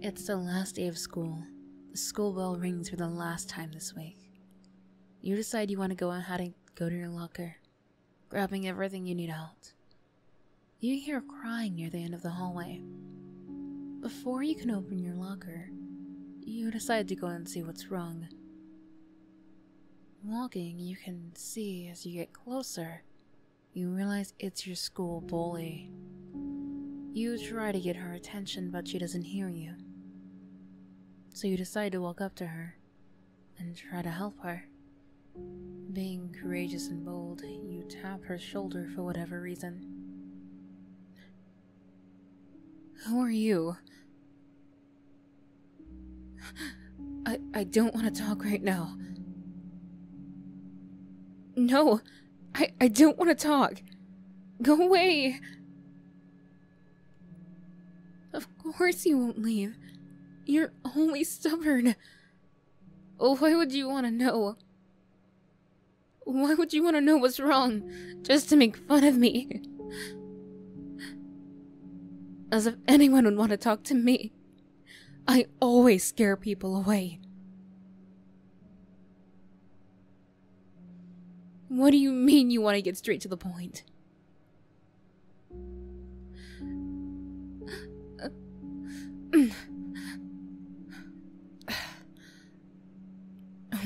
It's the last day of school. The school bell rings for the last time this week. You decide you want to go on how to go to your locker, grabbing everything you need out. You hear crying near the end of the hallway. Before you can open your locker, you decide to go and see what's wrong. Walking, you can see as you get closer you realize it's your school bully. You try to get her attention, but she doesn't hear you. So you decide to walk up to her and try to help her. Being courageous and bold, you tap her shoulder for whatever reason. Who are you? I I don't want to talk right now. No. I, I don't want to talk. Go away. Of course you won't leave. You're only stubborn. Oh, Why would you want to know? Why would you want to know what's wrong? Just to make fun of me. As if anyone would want to talk to me. I always scare people away. What do you mean you want to get straight to the point?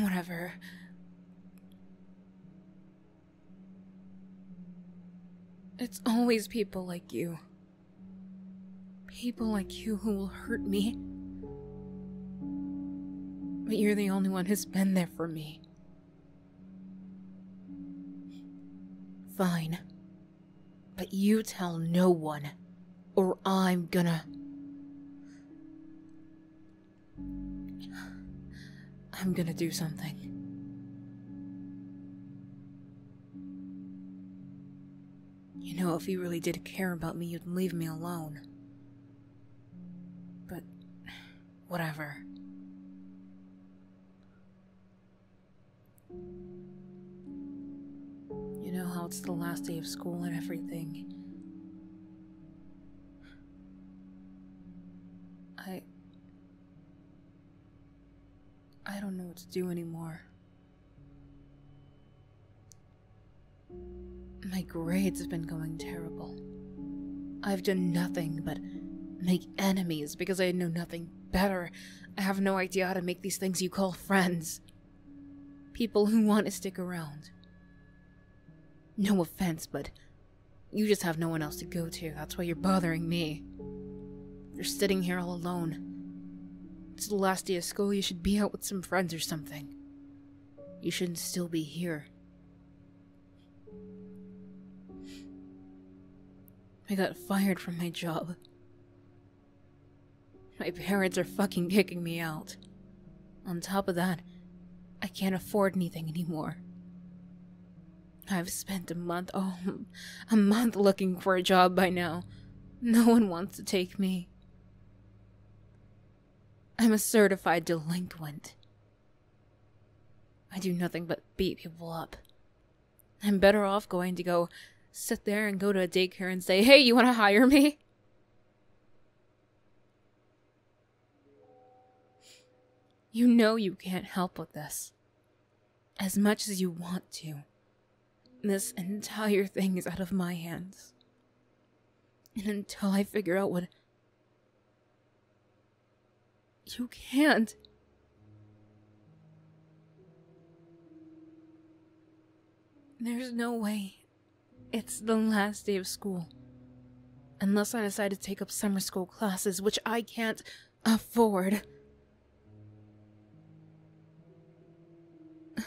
Whatever. It's always people like you. People like you who will hurt me. But you're the only one who's been there for me. Fine. But you tell no one, or I'm gonna. I'm gonna do something. You know, if you really did care about me, you'd leave me alone. But whatever. You know how it's the last day of school and everything. I. I don't know what to do anymore. My grades have been going terrible. I've done nothing but make enemies because I know nothing better. I have no idea how to make these things you call friends. People who want to stick around. No offense, but you just have no one else to go to. That's why you're bothering me. You're sitting here all alone. It's the last day of school, you should be out with some friends or something. You shouldn't still be here. I got fired from my job. My parents are fucking kicking me out. On top of that, I can't afford anything anymore. I've spent a month, oh, a month looking for a job by now, no one wants to take me. I'm a certified delinquent. I do nothing but beat people up. I'm better off going to go sit there and go to a daycare and say, hey, you want to hire me? You know you can't help with this. As much as you want to, this entire thing is out of my hands. And until I figure out what. You can't. There's no way. It's the last day of school. Unless I decide to take up summer school classes, which I can't afford.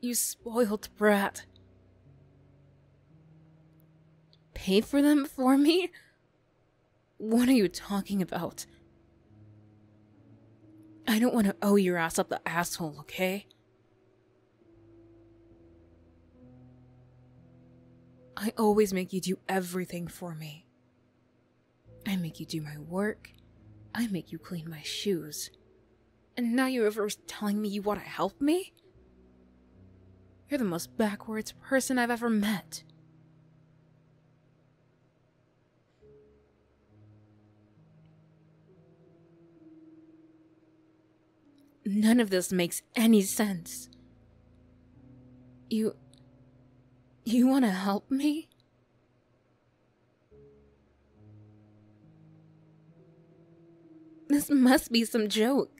you spoiled brat. Pay for them for me? What are you talking about? I don't want to owe your ass up the asshole, okay? I always make you do everything for me. I make you do my work. I make you clean my shoes. And now you're over telling me you want to help me? You're the most backwards person I've ever met. None of this makes any sense. You. You want to help me? This must be some joke.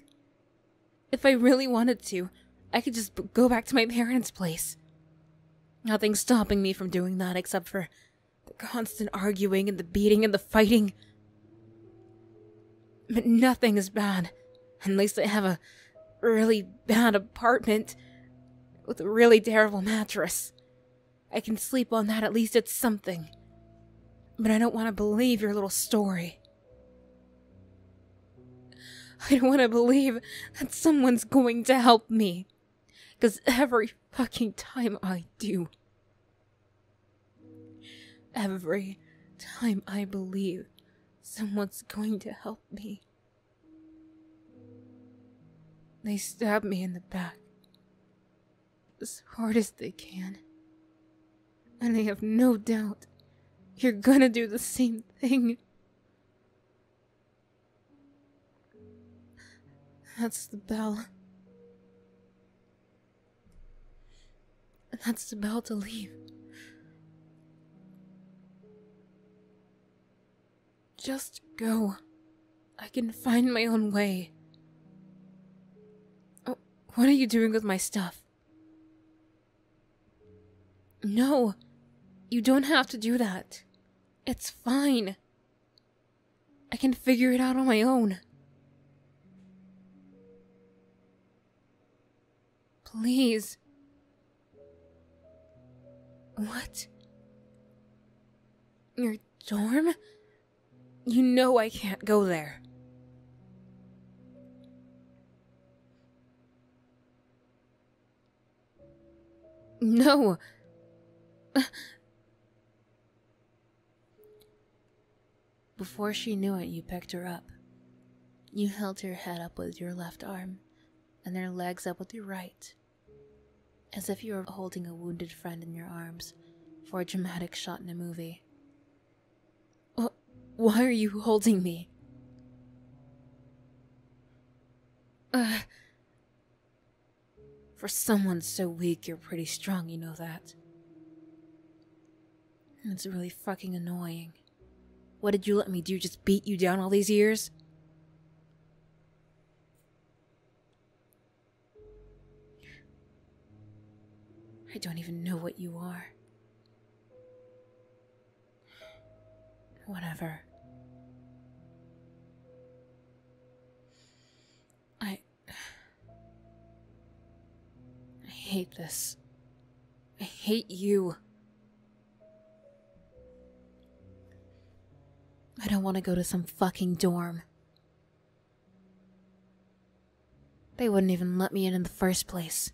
If I really wanted to, I could just go back to my parents' place. Nothing's stopping me from doing that except for the constant arguing and the beating and the fighting. But nothing is bad, unless I have a really bad apartment with a really terrible mattress. I can sleep on that, at least it's something. But I don't want to believe your little story. I don't want to believe that someone's going to help me. Because every fucking time I do, every time I believe someone's going to help me, they stab me in the back as hard as they can. And I have no doubt you're gonna do the same thing. That's the bell. That's the bell to leave. Just go. I can find my own way. Oh, what are you doing with my stuff? No, you don't have to do that. It's fine. I can figure it out on my own. Please, what? Your dorm? You know I can't go there. No. Before she knew it, you picked her up. You held her head up with your left arm and their legs up with your right, as if you were holding a wounded friend in your arms for a dramatic shot in a movie. Why are you holding me? for someone so weak, you're pretty strong, you know that. It's really fucking annoying. What did you let me do? Just beat you down all these years? I don't even know what you are. Whatever. I. I hate this. I hate you. I don't want to go to some fucking dorm. They wouldn't even let me in in the first place.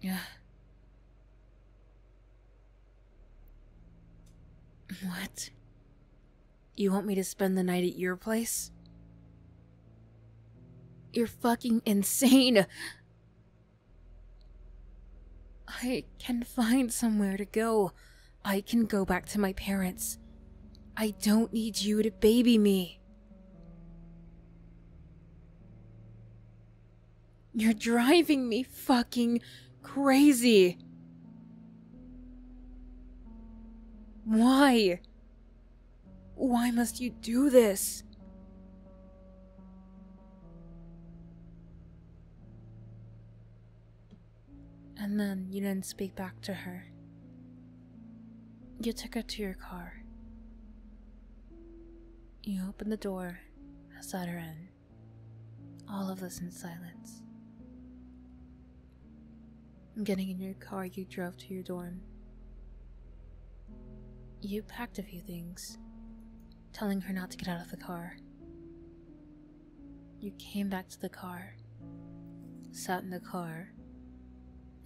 Yeah. What? You want me to spend the night at your place? You're fucking insane! I can find somewhere to go. I can go back to my parents. I don't need you to baby me. You're driving me fucking crazy. Why? Why must you do this? And then you didn't speak back to her. You took her to your car. You opened the door, sat her in. All of this in silence. Getting in your car, you drove to your dorm. You packed a few things, telling her not to get out of the car. You came back to the car, sat in the car,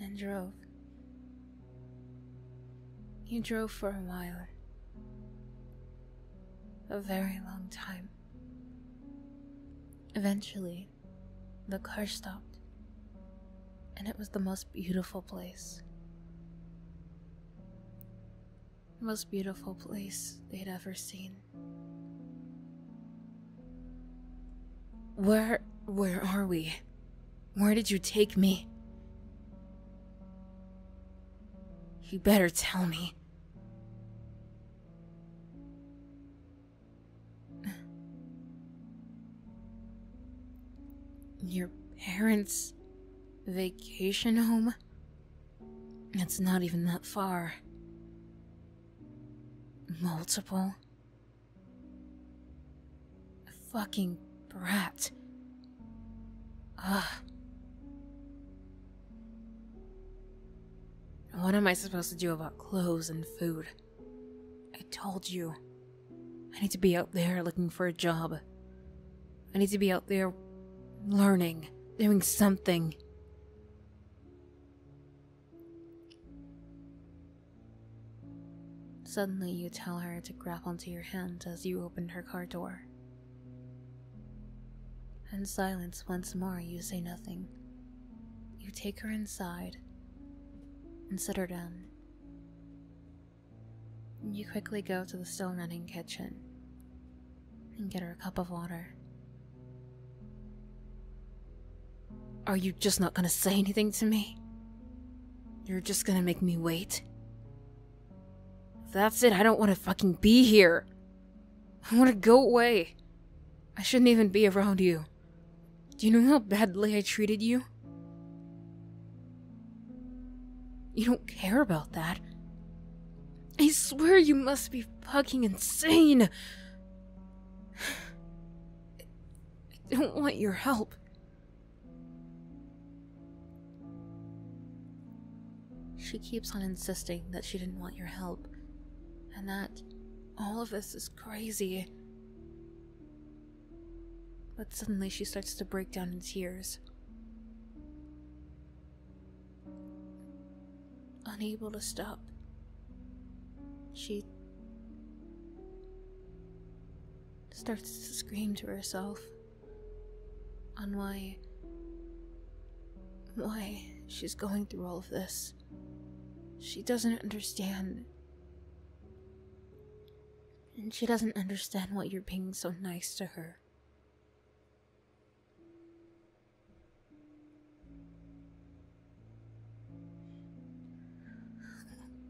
and drove. You drove for a while. A very long time. Eventually, the car stopped, and it was the most beautiful place. The most beautiful place they'd ever seen. Where where are we? Where did you take me? You better tell me. Your parents' vacation home? It's not even that far. Multiple? fucking brat. Ugh. What am I supposed to do about clothes and food? I told you. I need to be out there looking for a job. I need to be out there learning, doing something. Suddenly, you tell her to grab onto your hand as you open her car door. In silence, once more, you say nothing. You take her inside and her down. You quickly go to the still running kitchen and get her a cup of water. Are you just not gonna say anything to me? You're just gonna make me wait? that's it, I don't wanna fucking be here! I wanna go away! I shouldn't even be around you. Do you know how badly I treated you? You don't care about that. I swear you must be fucking insane! I don't want your help. She keeps on insisting that she didn't want your help, and that all of this is crazy, but suddenly she starts to break down in tears. Unable to stop, she starts to scream to herself on why why she's going through all of this. She doesn't understand and she doesn't understand why you're being so nice to her.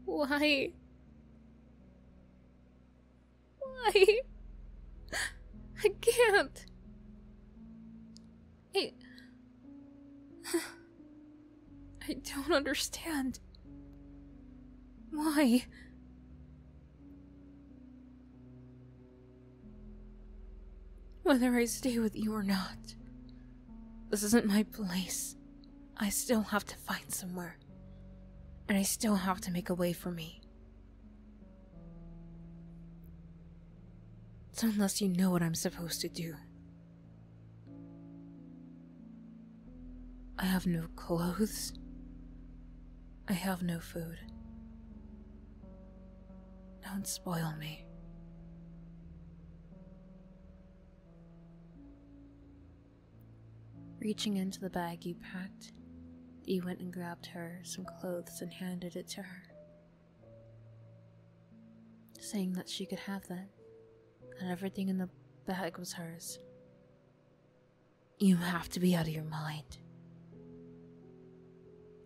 Why? Why? I can't. I. I don't understand. Why? Whether I stay with you or not, this isn't my place. I still have to find somewhere. And I still have to make a way for me. So, unless you know what I'm supposed to do, I have no clothes. I have no food. Don't spoil me. Reaching into the bag you packed, you went and grabbed her some clothes and handed it to her saying that she could have that, and everything in the bag was hers. You have to be out of your mind.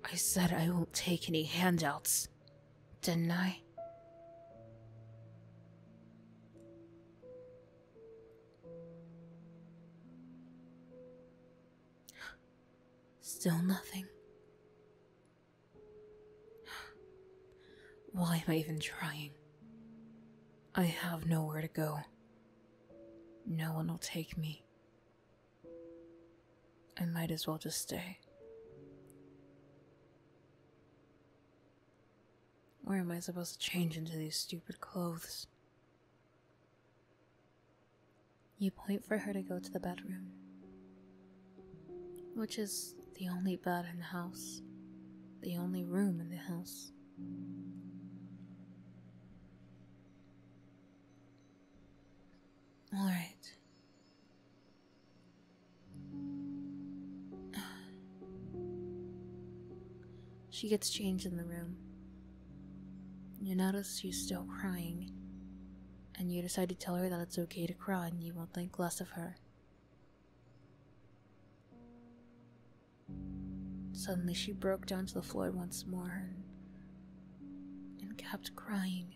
I said I won't take any handouts, didn't I? Still nothing. Why am I even trying? I have nowhere to go. No one will take me. I might as well just stay. Where am I supposed to change into these stupid clothes? You point for her to go to the bedroom which is the only bed in the house, the only room in the house. All right. She gets changed in the room. You notice she's still crying, and you decide to tell her that it's okay to cry and you will not think less of her. Suddenly, she broke down to the floor once more and, and kept crying.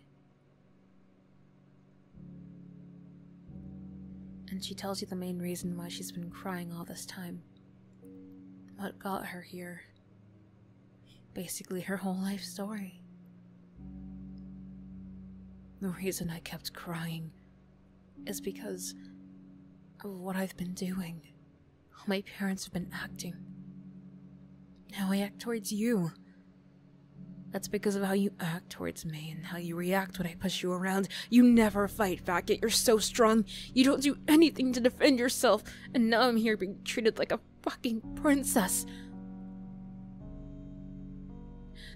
And she tells you the main reason why she's been crying all this time. What got her here. Basically, her whole life story. The reason I kept crying is because of what I've been doing. How my parents have been acting. How I act towards you. That's because of how you act towards me and how you react when I push you around. You never fight back, you're so strong. You don't do anything to defend yourself, and now I'm here being treated like a fucking princess.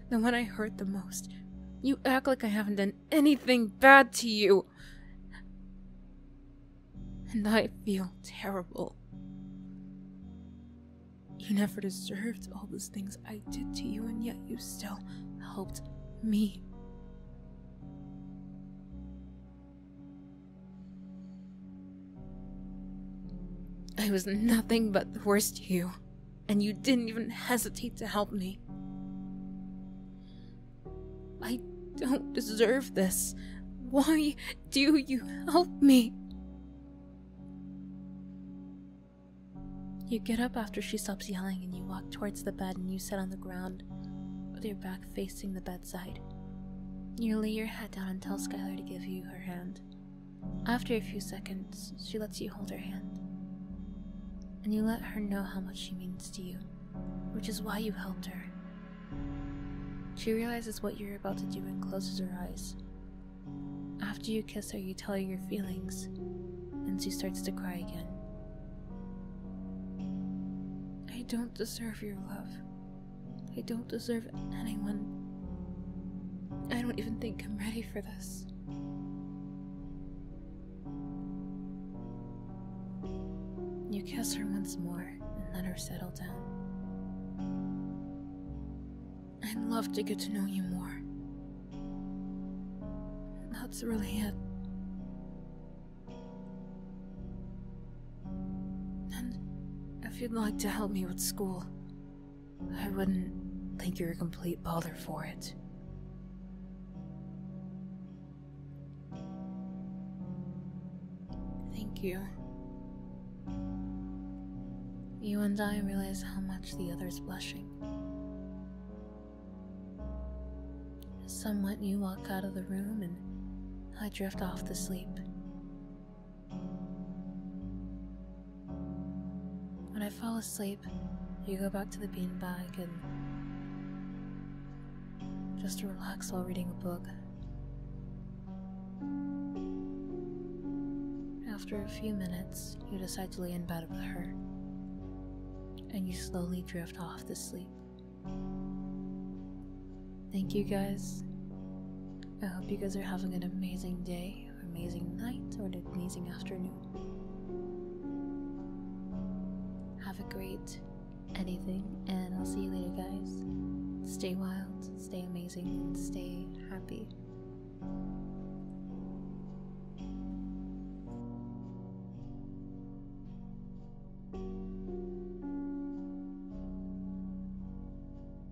Than when I hurt the most. You act like I haven't done anything bad to you. And I feel terrible. You never deserved all those things I did to you, and yet you still helped me. I was nothing but the worst to you, and you didn't even hesitate to help me. I don't deserve this. Why do you help me? You get up after she stops yelling and you walk towards the bed and you sit on the ground with your back facing the bedside. You lay your head down and tell Skylar to give you her hand. After a few seconds, she lets you hold her hand. And you let her know how much she means to you, which is why you helped her. She realizes what you're about to do and closes her eyes. After you kiss her, you tell her your feelings, and she starts to cry again. I don't deserve your love. I don't deserve anyone. I don't even think I'm ready for this. You kiss her once more and let her settle down. I'd love to get to know you more. That's really it. And if you'd like to help me with school, I wouldn't think you're a complete bother for it. Thank you. You and I realize how much the other is blushing. Somewhat, you walk out of the room and I drift off to sleep. When I fall asleep, you go back to the beanbag and just relax while reading a book. After a few minutes, you decide to lay in bed with her, and you slowly drift off to sleep. Thank you guys. I hope you guys are having an amazing day an amazing night or an amazing afternoon. Have a great anything, and I'll see you later, guys. Stay wild, stay amazing, stay happy.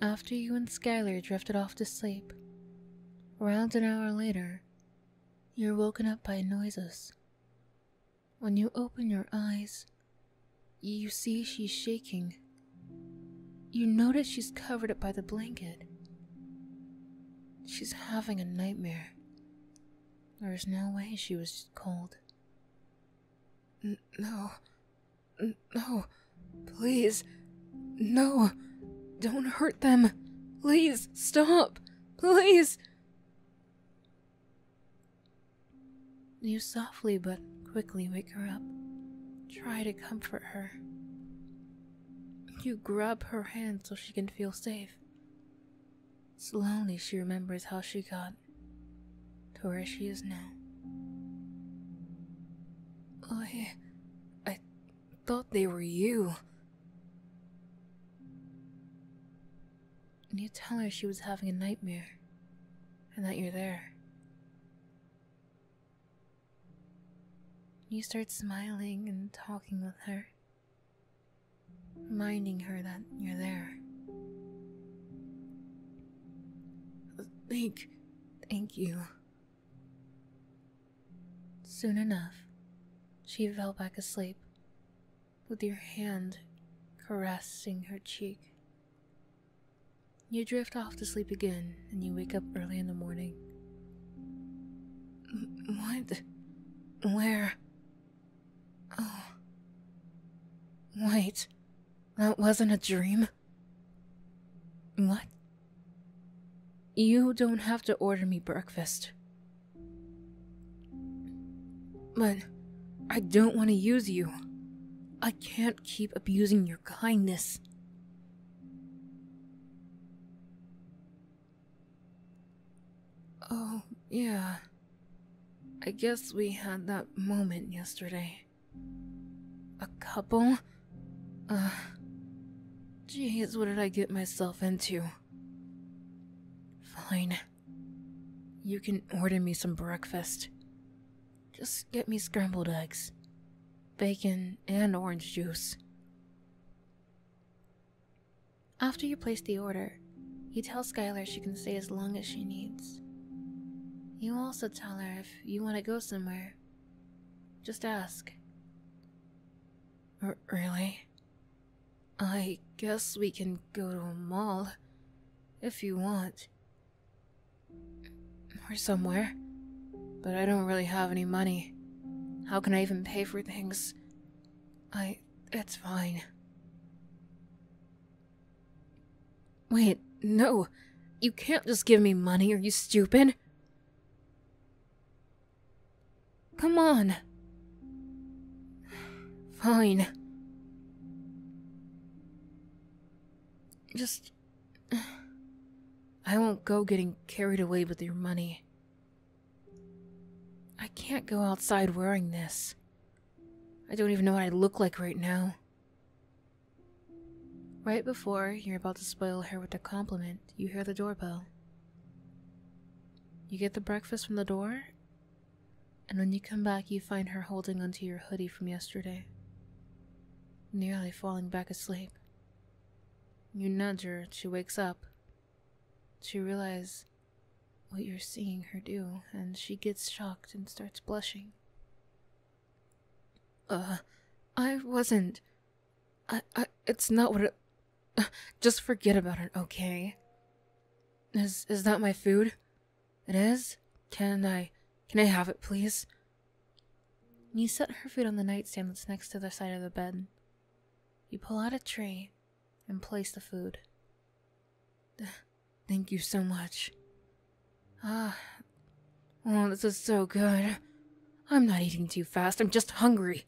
After you and Skylar drifted off to sleep, around an hour later, you're woken up by noises. When you open your eyes, you see she's shaking. You notice she's covered up by the blanket. She's having a nightmare. There is no way she was cold. no. no. Please. No. Don't hurt them. Please, stop. Please! You softly but quickly wake her up. Try to comfort her. You grab her hand so she can feel safe. Slowly she remembers how she got to where she is now. I. I thought they were you. And you tell her she was having a nightmare and that you're there. You start smiling and talking with her, reminding her that you're there. Thank, thank you. Soon enough, she fell back asleep, with your hand caressing her cheek. You drift off to sleep again and you wake up early in the morning. What? Where? Oh. Wait, that wasn't a dream? What? You don't have to order me breakfast. But I don't want to use you. I can't keep abusing your kindness. Oh, yeah. I guess we had that moment yesterday. A couple? Uh. Jeez, what did I get myself into? Fine. You can order me some breakfast. Just get me scrambled eggs, bacon, and orange juice. After you place the order, you tell Skylar she can stay as long as she needs. You also tell her if you want to go somewhere, just ask. R really? I guess we can go to a mall if you want. Or somewhere. But I don't really have any money. How can I even pay for things? I. It's fine. Wait, no. You can't just give me money, are you stupid? Come on. Fine. Just... I won't go getting carried away with your money. I can't go outside wearing this. I don't even know what I look like right now. Right before you're about to spoil her with a compliment, you hear the doorbell. You get the breakfast from the door, and when you come back, you find her holding onto your hoodie from yesterday, nearly falling back asleep. You nudge her, she wakes up. She realizes what you're seeing her do, and she gets shocked and starts blushing. Uh, I wasn't. I, I, it's not what it. Just forget about it, okay? Is is that my food? It is. Can I, can I have it, please? You set her food on the nightstand that's next to the side of the bed. You pull out a tray, and place the food. Thank you so much. Ah, oh, this is so good. I'm not eating too fast. I'm just hungry.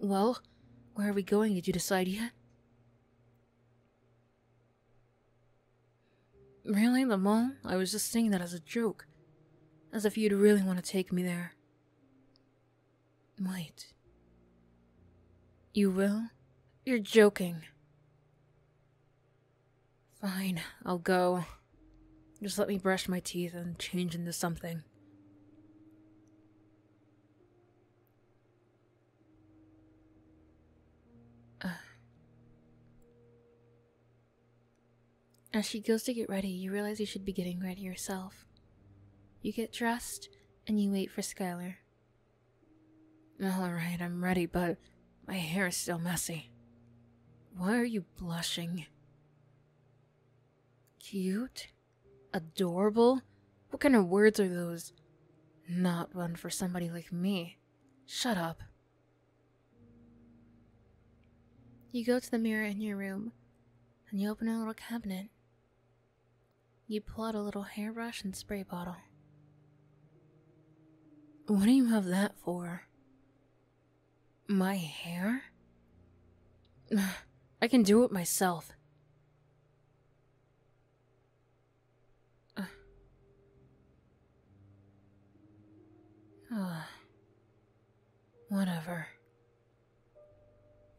Well, where are we going? Did you decide yet? Really, the mall? I was just saying that as a joke. As if you'd really want to take me there. Might. You will? You're joking. Fine, I'll go. Just let me brush my teeth and change into something. Uh. As she goes to get ready, you realize you should be getting ready yourself. You get dressed and you wait for Skylar. Alright, I'm ready, but my hair is still messy. Why are you blushing? Cute? Adorable? What kind of words are those? Not one for somebody like me. Shut up. You go to the mirror in your room, and you open a little cabinet. You pull out a little hairbrush and spray bottle. What do you have that for? My hair? I can do it myself. Oh, whatever.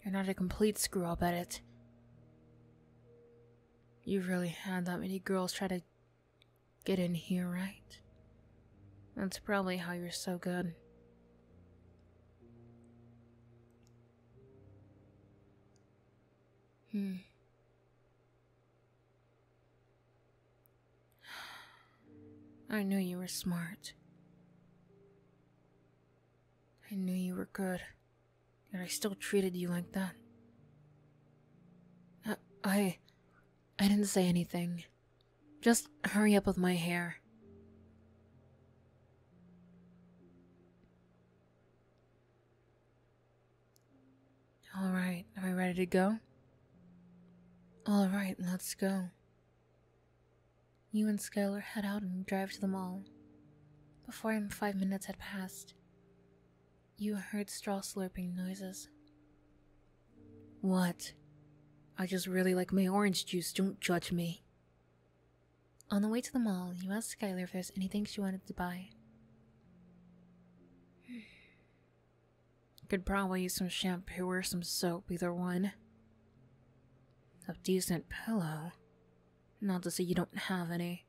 You're not a complete screw up at it. You really had that many girls try to get in here, right? That's probably how you're so good. Hmm. I knew you were smart. I knew you were good, yet I still treated you like that. I, I didn't say anything. Just hurry up with my hair. Alright, are we ready to go? Alright, let's go. You and Skylar head out and drive to the mall. Before him, five minutes had passed. You heard straw slurping noises. What? I just really like my orange juice, don't judge me. On the way to the mall, you asked Skylar if there's anything she wanted to buy. Could probably use some shampoo or some soap, either one. A decent pillow. Not to say you don't have any.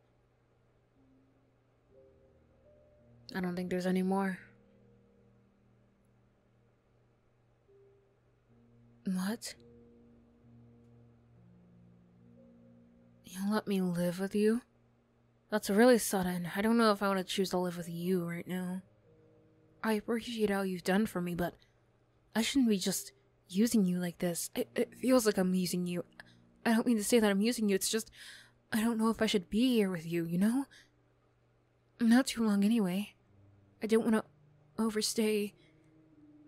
I don't think there's any more. What? You'll let me live with you? That's really sudden. I don't know if I want to choose to live with you right now. I appreciate all you've done for me, but I shouldn't be just using you like this. It, it feels like I'm using you. I don't mean to say that I'm using you, it's just I don't know if I should be here with you, you know? Not too long anyway. I don't want to overstay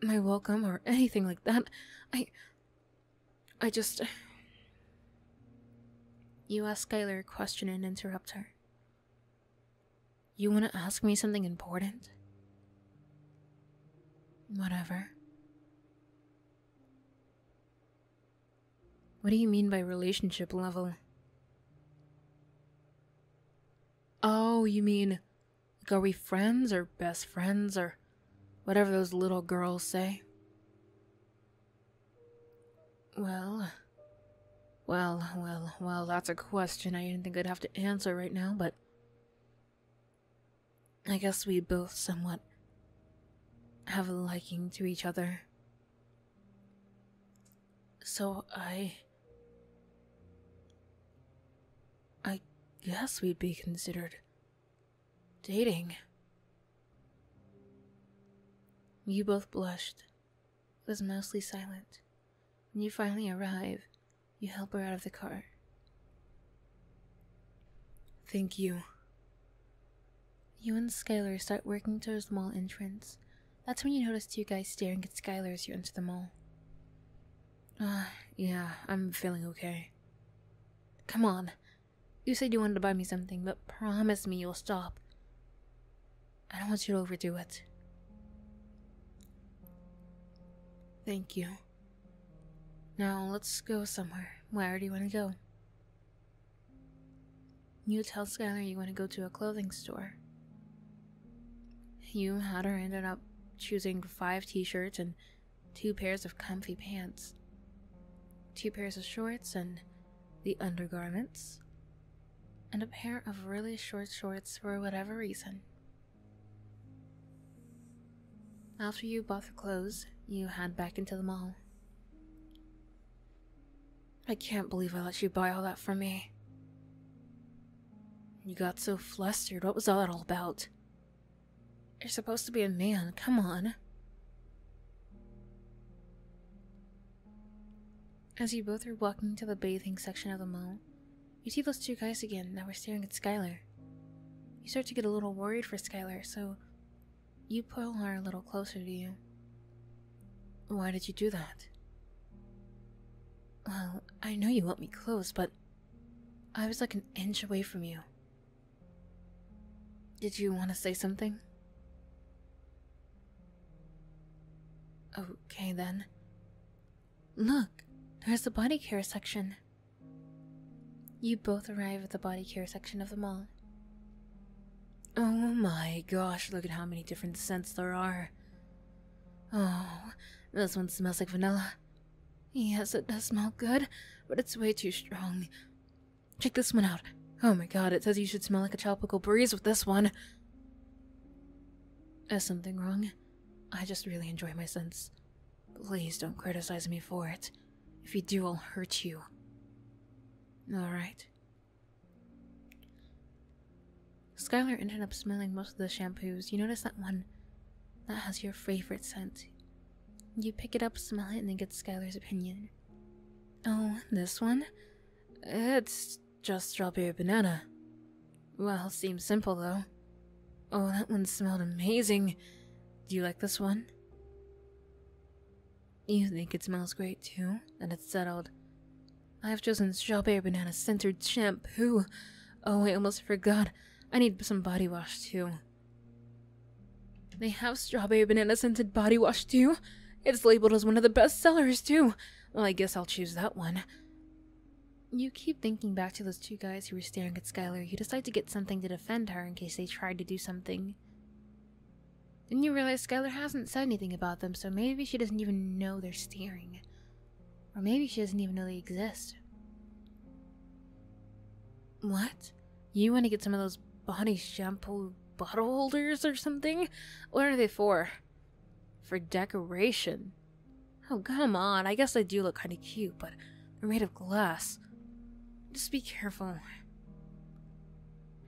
my welcome or anything like that. I. I just. You ask Skylar a question and interrupt her. You want to ask me something important? Whatever. What do you mean by relationship level? Oh, you mean, like, are we friends or best friends or whatever those little girls say? Well, well, well, well, that's a question I didn't think I'd have to answer right now, but I guess we both somewhat have a liking to each other. So I. I guess we'd be considered. dating. You both blushed. It was mostly silent. When you finally arrive, you help her out of the car. Thank you. You and Skylar start working to the small entrance, that's when you notice two guys staring at Skylar as you enter the mall. Ah, yeah, I'm feeling okay. Come on. You said you wanted to buy me something, but promise me you'll stop. I don't want you to overdo it. Thank you. Now let's go somewhere. Where do you want to go? You tell Skylar you want to go to a clothing store. You had her ended up choosing five t shirts and two pairs of comfy pants, two pairs of shorts and the undergarments, and a pair of really short shorts for whatever reason. After you bought the clothes, you head back into the mall. I can't believe I let you buy all that for me. You got so flustered. What was all that all about? You're supposed to be a man. Come on. As you both are walking to the bathing section of the mall, you see those two guys again that were staring at Skylar. You start to get a little worried for Skylar, so you pull her a little closer to you. Why did you do that? Well, I know you want me close, but I was like an inch away from you. Did you want to say something? Okay then. Look, there's the body care section. You both arrive at the body care section of the mall. Oh my gosh, look at how many different scents there are. Oh, this one smells like vanilla. Yes, it does smell good, but it's way too strong. Check this one out. Oh my god, it says you should smell like a tropical breeze with this one. There's something wrong? I just really enjoy my scents. Please don't criticize me for it. If you do, I'll hurt you. Alright, Skylar ended up smelling most of the shampoos. You notice that one that has your favorite scent. You pick it up, smell it, and then get Skylar's opinion. Oh, this one? It's just strawberry banana. Well, seems simple though. Oh, that one smelled amazing. Do you like this one? You think it smells great too? And it's settled. I've chosen strawberry banana scented shampoo. Oh, I almost forgot. I need some body wash too. They have strawberry banana scented body wash too? It's labeled as one of the best sellers too. I guess I'll choose that one. You keep thinking back to those two guys who were staring at Skylar. You decide to get something to defend her in case they tried to do something. Then you realize Skylar hasn't said anything about them, so maybe she doesn't even know they're steering, Or maybe she doesn't even know they exist. What? You want to get some of those body shampoo bottle holders or something? What are they for? For decoration. Oh, come on. I guess they do look kind of cute, but they're made of glass. Just be careful.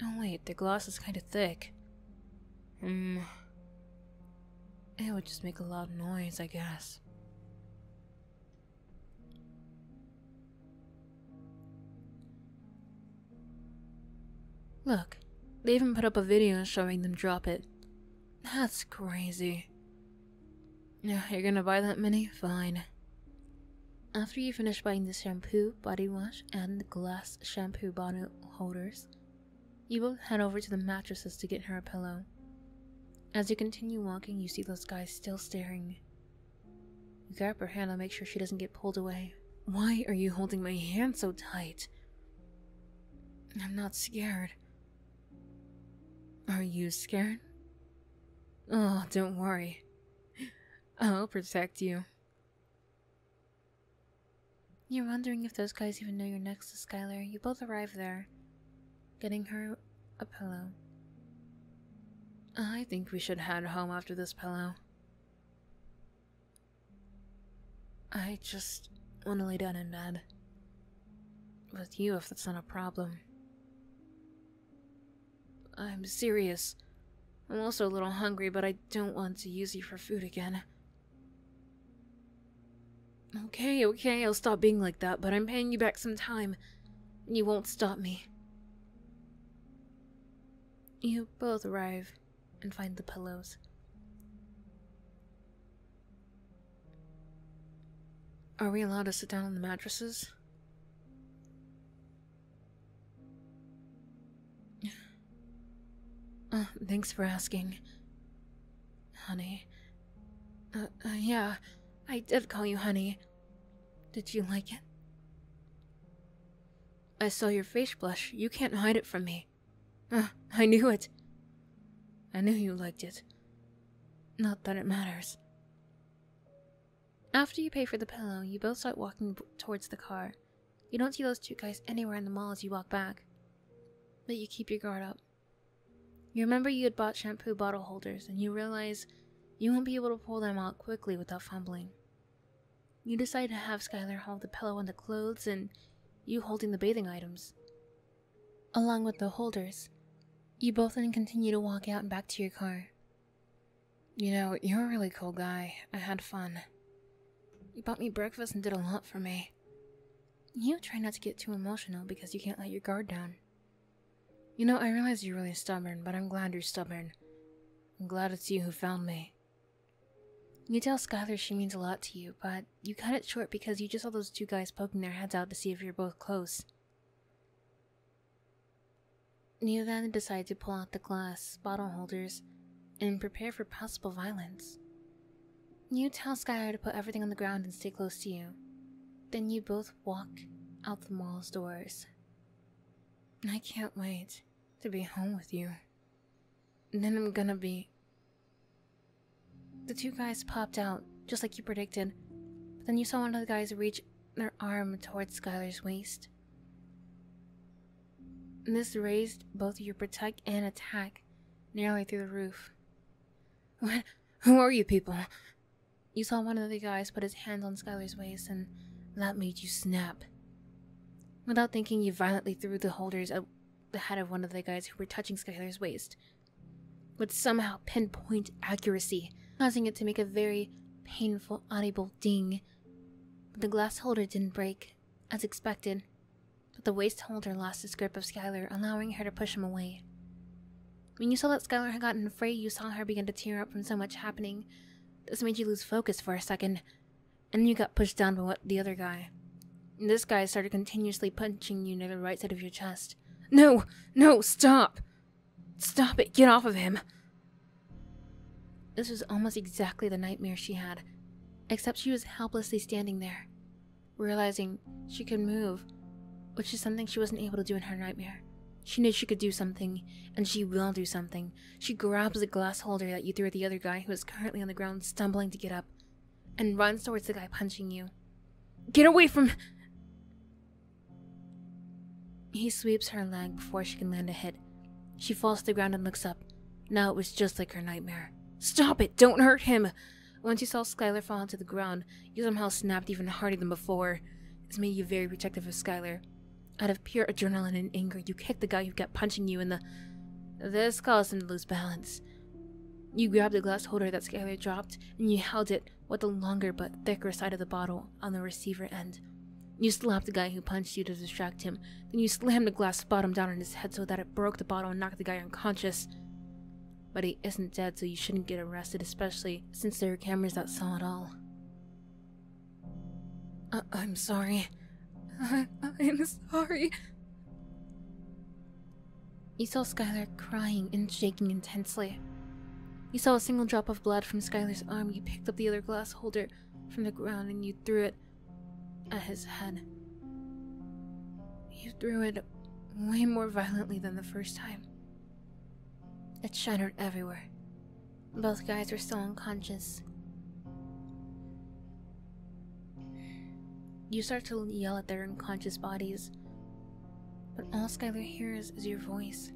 Oh, wait, the glass is kind of thick. Hmm. It would just make a loud noise, I guess. Look, they even put up a video showing them drop it. That's crazy. Yeah, you're gonna buy that mini? Fine. After you finish buying the shampoo, body wash, and glass shampoo bottle holders, you both head over to the mattresses to get her a pillow. As you continue walking, you see those guys still staring. You grab her hand to make sure she doesn't get pulled away. Why are you holding my hand so tight? I'm not scared. Are you scared? Oh, don't worry. I'll protect you. You're wondering if those guys even know you're next to Skylar. You both arrived there, getting her a pillow. I think we should head home after this pillow. I just want to lay down in bed. With you, if that's not a problem. I'm serious. I'm also a little hungry, but I don't want to use you for food again. Okay, okay, I'll stop being like that, but I'm paying you back some time. and You won't stop me. You both arrive and find the pillows. Are we allowed to sit down on the mattresses? Uh, thanks for asking. Honey. Uh, uh, yeah, I did call you honey. Did you like it? I saw your face blush. You can't hide it from me. I knew it. I knew you liked it. Not that it matters. After you pay for the pillow, you both start walking towards the car. You don't see those two guys anywhere in the mall as you walk back, but you keep your guard up. You remember you had bought shampoo bottle holders and you realize you won't be able to pull them out quickly without fumbling. You decide to have Skylar hold the pillow and the clothes, and you holding the bathing items. Along with the holders, you both then continue to walk out and back to your car. You know, you're a really cool guy. I had fun. You bought me breakfast and did a lot for me. You try not to get too emotional because you can't let your guard down. You know, I realize you're really stubborn, but I'm glad you're stubborn. I'm glad it's you who found me. You tell Skylar she means a lot to you, but you cut it short because you just saw those two guys poking their heads out to see if you're both close. You then decide to pull out the glass bottle holders and prepare for possible violence. You tell Skylar to put everything on the ground and stay close to you. Then you both walk out the mall's doors. I can't wait to be home with you. Then I'm gonna be. The two guys popped out, just like you predicted. But then you saw one of the guys reach their arm towards Skylar's waist. This raised both your protect and attack nearly through the roof. What? Who are you people? You saw one of the guys put his hands on Skylar's waist, and that made you snap. Without thinking, you violently threw the holders at the head of one of the guys who were touching Skylar's waist, with somehow pinpoint accuracy, causing it to make a very painful, audible ding. But the glass holder didn't break, as expected, but the waist holder lost his grip of Skylar, allowing her to push him away. When you saw that Skylar had gotten afraid, you saw her begin to tear up from so much happening. This made you lose focus for a second, and then you got pushed down by the other guy. And this guy started continuously punching you near the right side of your chest. No! No! Stop! Stop it! Get off of him! This was almost exactly the nightmare she had, except she was helplessly standing there, realizing she could move, which is something she wasn't able to do in her nightmare. She knew she could do something, and she will do something. She grabs the glass holder that you threw at the other guy who is currently on the ground, stumbling to get up, and runs towards the guy punching you. Get away from. He sweeps her leg before she can land a hit she falls to the ground and looks up. Now it was just like her nightmare. Stop it! Don't hurt him! Once you saw Skylar fall onto the ground, you somehow snapped even harder than before. This made you very protective of Skylar. Out of pure adrenaline and anger, you kicked the guy who kept punching you in the... This caused him to lose balance. You grabbed the glass holder that Skylar dropped, and you held it with the longer but thicker side of the bottle on the receiver end. You slapped the guy who punched you to distract him, then you slammed the glass bottom down on his head so that it broke the bottle and knocked the guy unconscious. But he isn't dead, so you shouldn't get arrested, especially since there are cameras that saw it all. I uh, I'm sorry. I I'm sorry. You saw Skylar crying and shaking intensely. You saw a single drop of blood from Skylar's arm. You picked up the other glass holder from the ground and you threw it at his head. You threw it way more violently than the first time. It shattered everywhere. Both guys were still unconscious. You start to yell at their unconscious bodies, but all Skylar hears is your voice.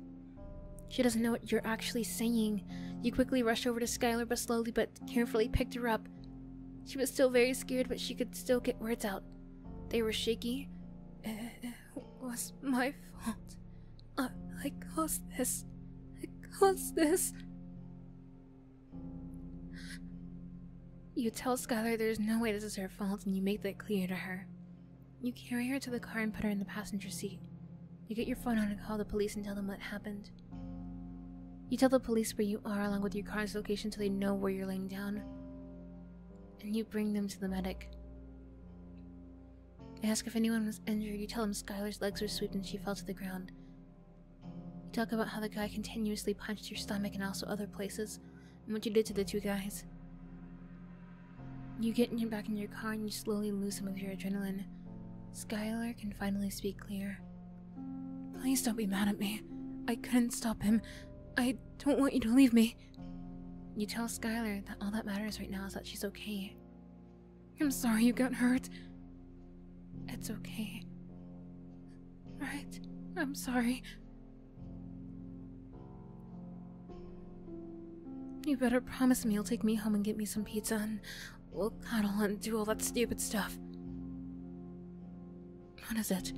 She doesn't know what you're actually saying. You quickly rush over to Skylar, but slowly but carefully picked her up. She was still very scared, but she could still get words out. They were shaky. Uh, it was my fault. I, I caused this. I caused this. You tell Skylar there's no way this is her fault, and you make that clear to her. You carry her to the car and put her in the passenger seat. You get your phone out and call the police and tell them what happened. You tell the police where you are along with your car's location so they know where you're laying down, and you bring them to the medic. ask if anyone was injured. You tell them Skylar's legs were swept and she fell to the ground. You talk about how the guy continuously punched your stomach and also other places, and what you did to the two guys. You get in your back in your car and you slowly lose some of your adrenaline. Skylar can finally speak clear. Please don't be mad at me. I couldn't stop him. I don't want you to leave me. You tell Skylar that all that matters right now is that she's okay. I'm sorry you got hurt. It's okay. Right? I'm sorry. You better promise me you'll take me home and get me some pizza and We'll cuddle and do all that stupid stuff. What is it?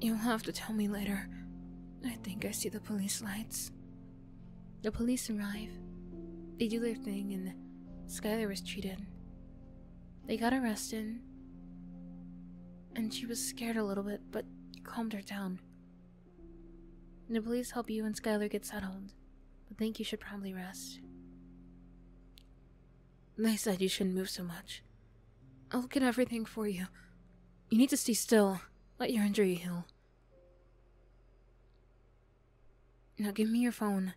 You'll have to tell me later. I think I see the police lights. The police arrive. They do their thing and Skylar was treated. They got arrested. And she was scared a little bit, but calmed her down. The police help you and Skylar get settled, but think you should probably rest. They said you shouldn't move so much. I'll get everything for you. You need to stay still. Let your injury heal. Now give me your phone.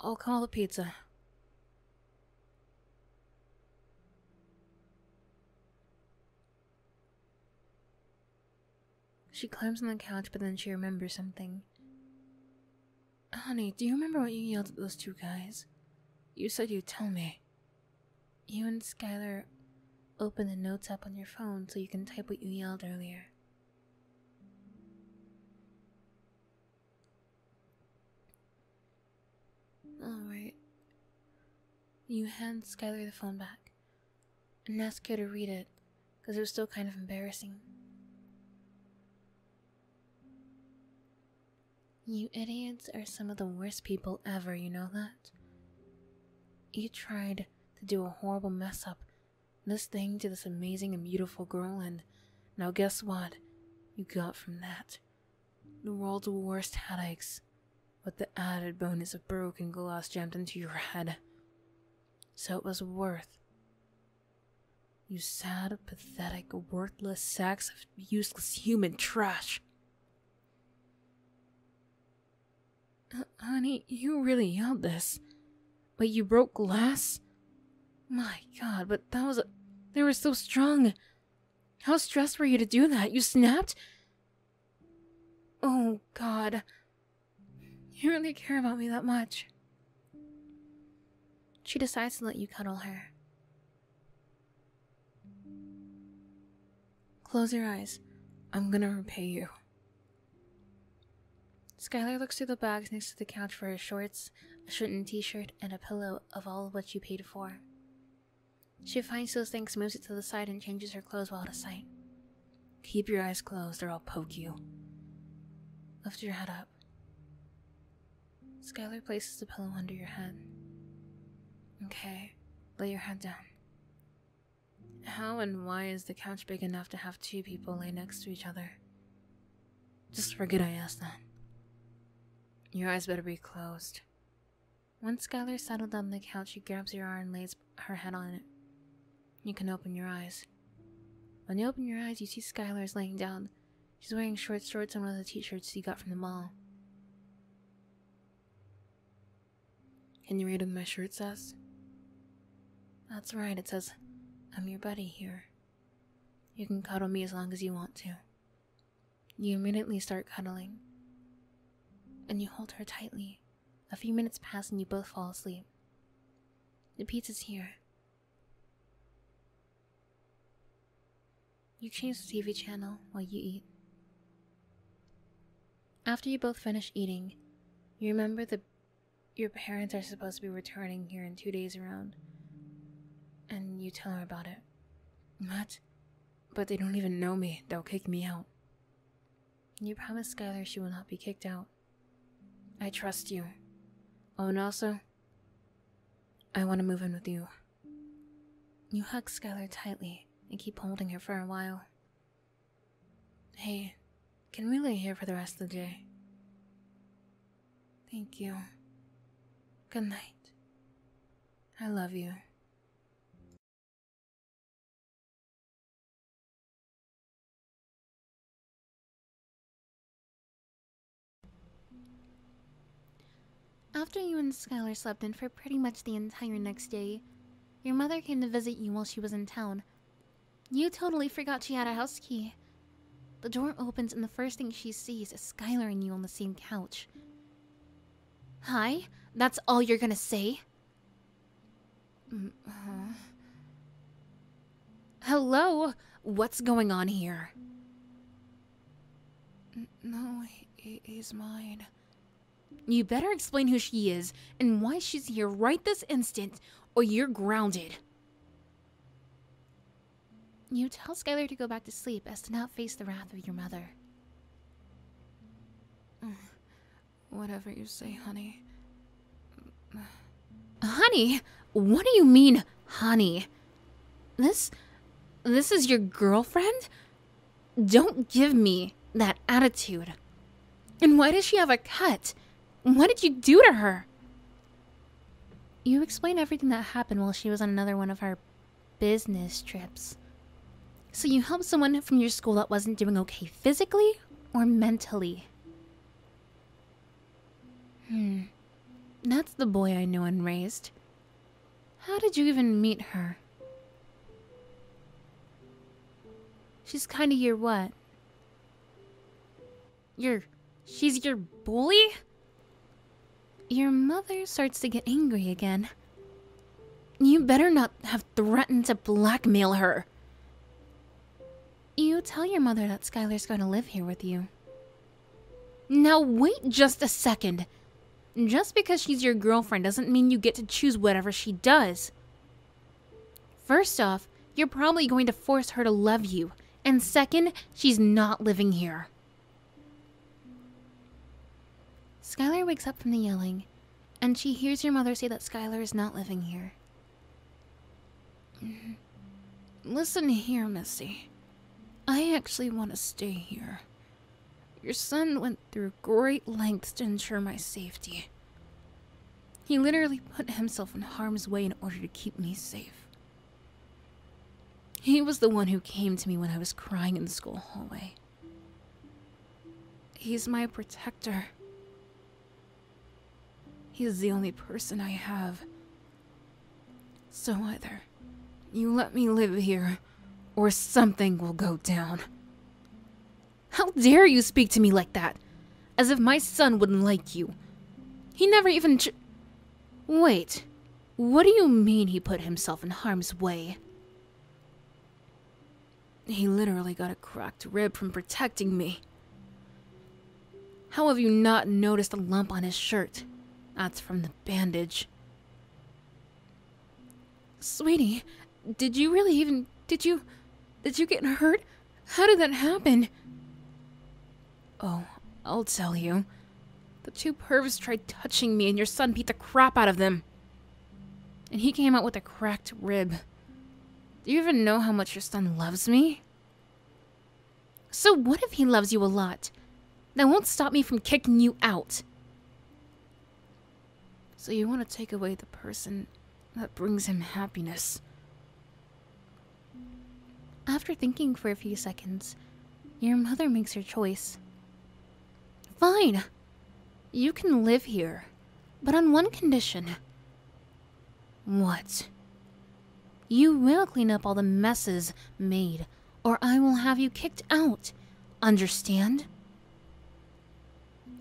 I'll call the pizza. She climbs on the couch, but then she remembers something. Honey, do you remember what you yelled at those two guys? You said you'd tell me. You and Skylar open the notes up on your phone so you can type what you yelled earlier. Alright. You hand Skylar the phone back and ask her to read it, 'cause it was still kind of embarrassing. You idiots are some of the worst people ever, you know that? You tried to do a horrible mess up, this thing to this amazing and beautiful girl, and now guess what? You got from that the world's worst headaches, with the added bonus of broken glass jammed into your head. So it was worth. You sad, pathetic, worthless sacks of useless human trash. honey, you really yelled this. But you broke glass? My god, but that was. They were so strong. How stressed were you to do that? You snapped? Oh god. You really care about me that much. She decides to let you cuddle her. Close your eyes. I'm gonna repay you. Skylar looks through the bags next to the couch for her shorts, a shirt and t shirt, and a pillow of all what you paid for. She finds those things, moves it to the side, and changes her clothes while out of sight. Keep your eyes closed or I'll poke you. Lift your head up. Skylar places a pillow under your head. Okay, lay your head down. How and why is the couch big enough to have two people lay next to each other? Just forget I asked that. Your eyes better be closed. Once Skylar settled on the couch, he grabs your arm and lays her head on it. You can open your eyes. When you open your eyes, you see Skylar is laying down. She's wearing short shorts and one of the t-shirts you got from the mall. Can you read what my shirt says? That's right, it says, I'm your buddy here. You can cuddle me as long as you want to. You immediately start cuddling, and you hold her tightly. A few minutes pass and you both fall asleep. The pizza's here. You change the TV channel while you eat. After you both finish eating, you remember that your parents are supposed to be returning here in two days around, and you tell them about it. What? But they don't even know me, they'll kick me out. You promise Skylar she will not be kicked out. I trust you. Oh, and also, I want to move in with you. You hug Skylar tightly and keep holding her for a while. Hey, can we lay here for the rest of the day? Thank you. Good night. I love you. After you and Skylar slept in for pretty much the entire next day, your mother came to visit you while she was in town. You totally forgot she had a house key. The door opens and the first thing she sees is Skylar and you on the same couch. Hi? That's all you're gonna say? Mm, Hello? What's going on here? no, he he's mine. You better explain who she is and why she's here right this instant, or you're grounded. You tell Skylar to go back to sleep as to not face the wrath of your mother. Mm. Whatever you say, honey. Honey? What do you mean, honey? This. This is your girlfriend? Don't give me that attitude. And why does she have a cut? What did you do to her? You explain everything that happened while she was on another one of her business trips. So you helped someone from your school that wasn't doing okay physically? or mentally? Hmm. That's the boy I knew and raised. How did you even meet her? She's kinda your what? Your. She's your bully? Your mother starts to get angry again. You better not have threatened to blackmail her. You tell your mother that Skylar's going to live here with you. Now wait just a second. Just because she's your girlfriend doesn't mean you get to choose whatever she does. First off, you're probably going to force her to love you. And second, she's not living here. Skylar wakes up from the yelling and she hears your mother say that Skylar is not living here. Mm-hmm. Listen here, Missy. I actually want to stay here. Your son went through great lengths to ensure my safety. He literally put himself in harm's way in order to keep me safe. He was the one who came to me when I was crying in the school hallway. He's my protector. He is the only person I have. So either you let me live here, or something will go down. How dare you speak to me like that? As if my son wouldn't like you. He never even. Wait, what do you mean he put himself in harm's way? He literally got a cracked rib from protecting me. How have you not noticed a lump on his shirt? That's from the bandage. Sweetie, did you really even. Did you. Did you get hurt? How did that happen? Oh, I'll tell you. The two pervs tried touching me, and your son beat the crap out of them. And he came out with a cracked rib. Do you even know how much your son loves me? So what if he loves you a lot? That won't stop me from kicking you out. So you want to take away the person that brings him happiness. After thinking for a few seconds, your mother makes her choice. Fine! You can live here, but on one condition. What? You will clean up all the messes made, or I will have you kicked out. Understand?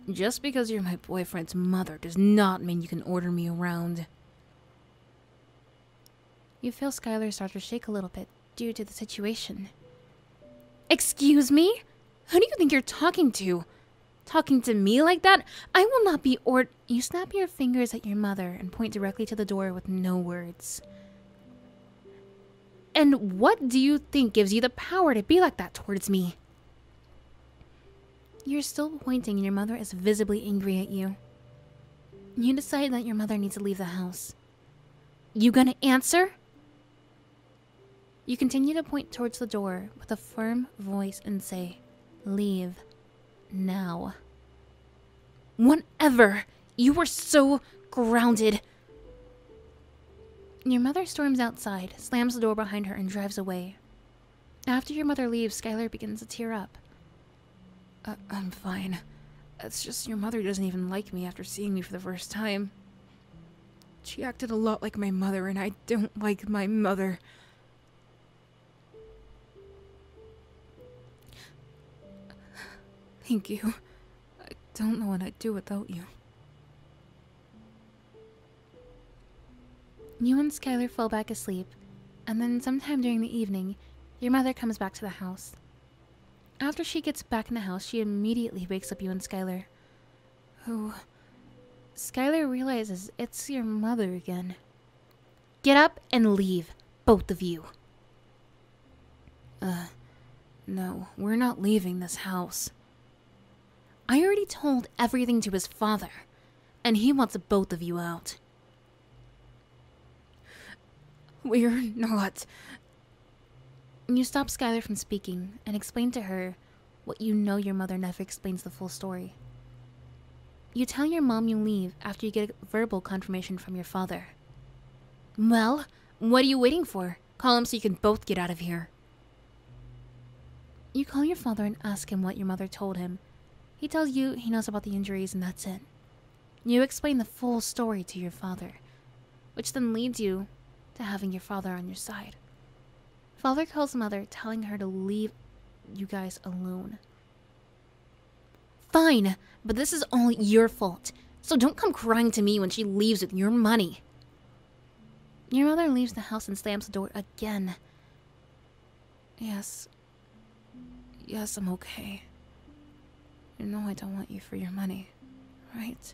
Just because you're my boyfriend's mother does not mean you can order me around. You feel Skylar start to shake a little bit due to the situation. Excuse me? Who do you think you're talking to? Talking to me like that? I will not be ord- You snap your fingers at your mother and point directly to the door with no words. And what do you think gives you the power to be like that towards me? You're still pointing and your mother is visibly angry at you. You decide that your mother needs to leave the house. You gonna answer? You continue to point towards the door with a firm voice and say, Leave. Now. Whatever! You were so grounded! Your mother storms outside, slams the door behind her, and drives away. After your mother leaves, Skylar begins to tear up. Uh, I'm fine. It's just your mother doesn't even like me after seeing me for the first time. She acted a lot like my mother, and I don't like my mother. Thank you. I don't know what I'd do without you. You and Skylar fall back asleep, and then sometime during the evening, your mother comes back to the house. After she gets back in the house, she immediately wakes up you and Skylar who. Skylar realizes it's your mother again. Get up and leave, both of you. Uh, no, we're not leaving this house. I already told everything to his father, and he wants both of you out. We're not. You stop Skylar from speaking and explain to her what you know your mother never explains the full story. You tell your mom you leave after you get verbal confirmation from your father. Well, what are you waiting for? Call him so you can both get out of here. You call your father and ask him what your mother told him. He tells you he knows about the injuries and that's it. You explain the full story to your father, which then leads you to having your father on your side. Father calls mother, telling her to leave you guys alone. Fine, but this is all your fault, so don't come crying to me when she leaves with your money. Your mother leaves the house and slams the door again. Yes. Yes, I'm okay. You know I don't want you for your money, right?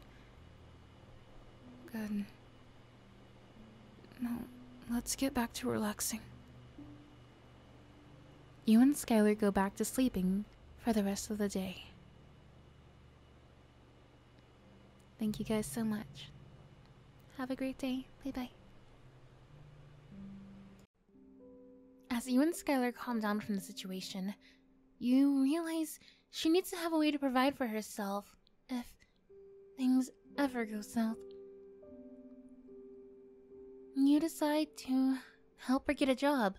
Good. No, let's get back to relaxing. You and Skylar go back to sleeping for the rest of the day. Thank you guys so much. Have a great day. Bye bye. As you and Skylar calm down from the situation, you realize she needs to have a way to provide for herself if things ever go south. You decide to help her get a job.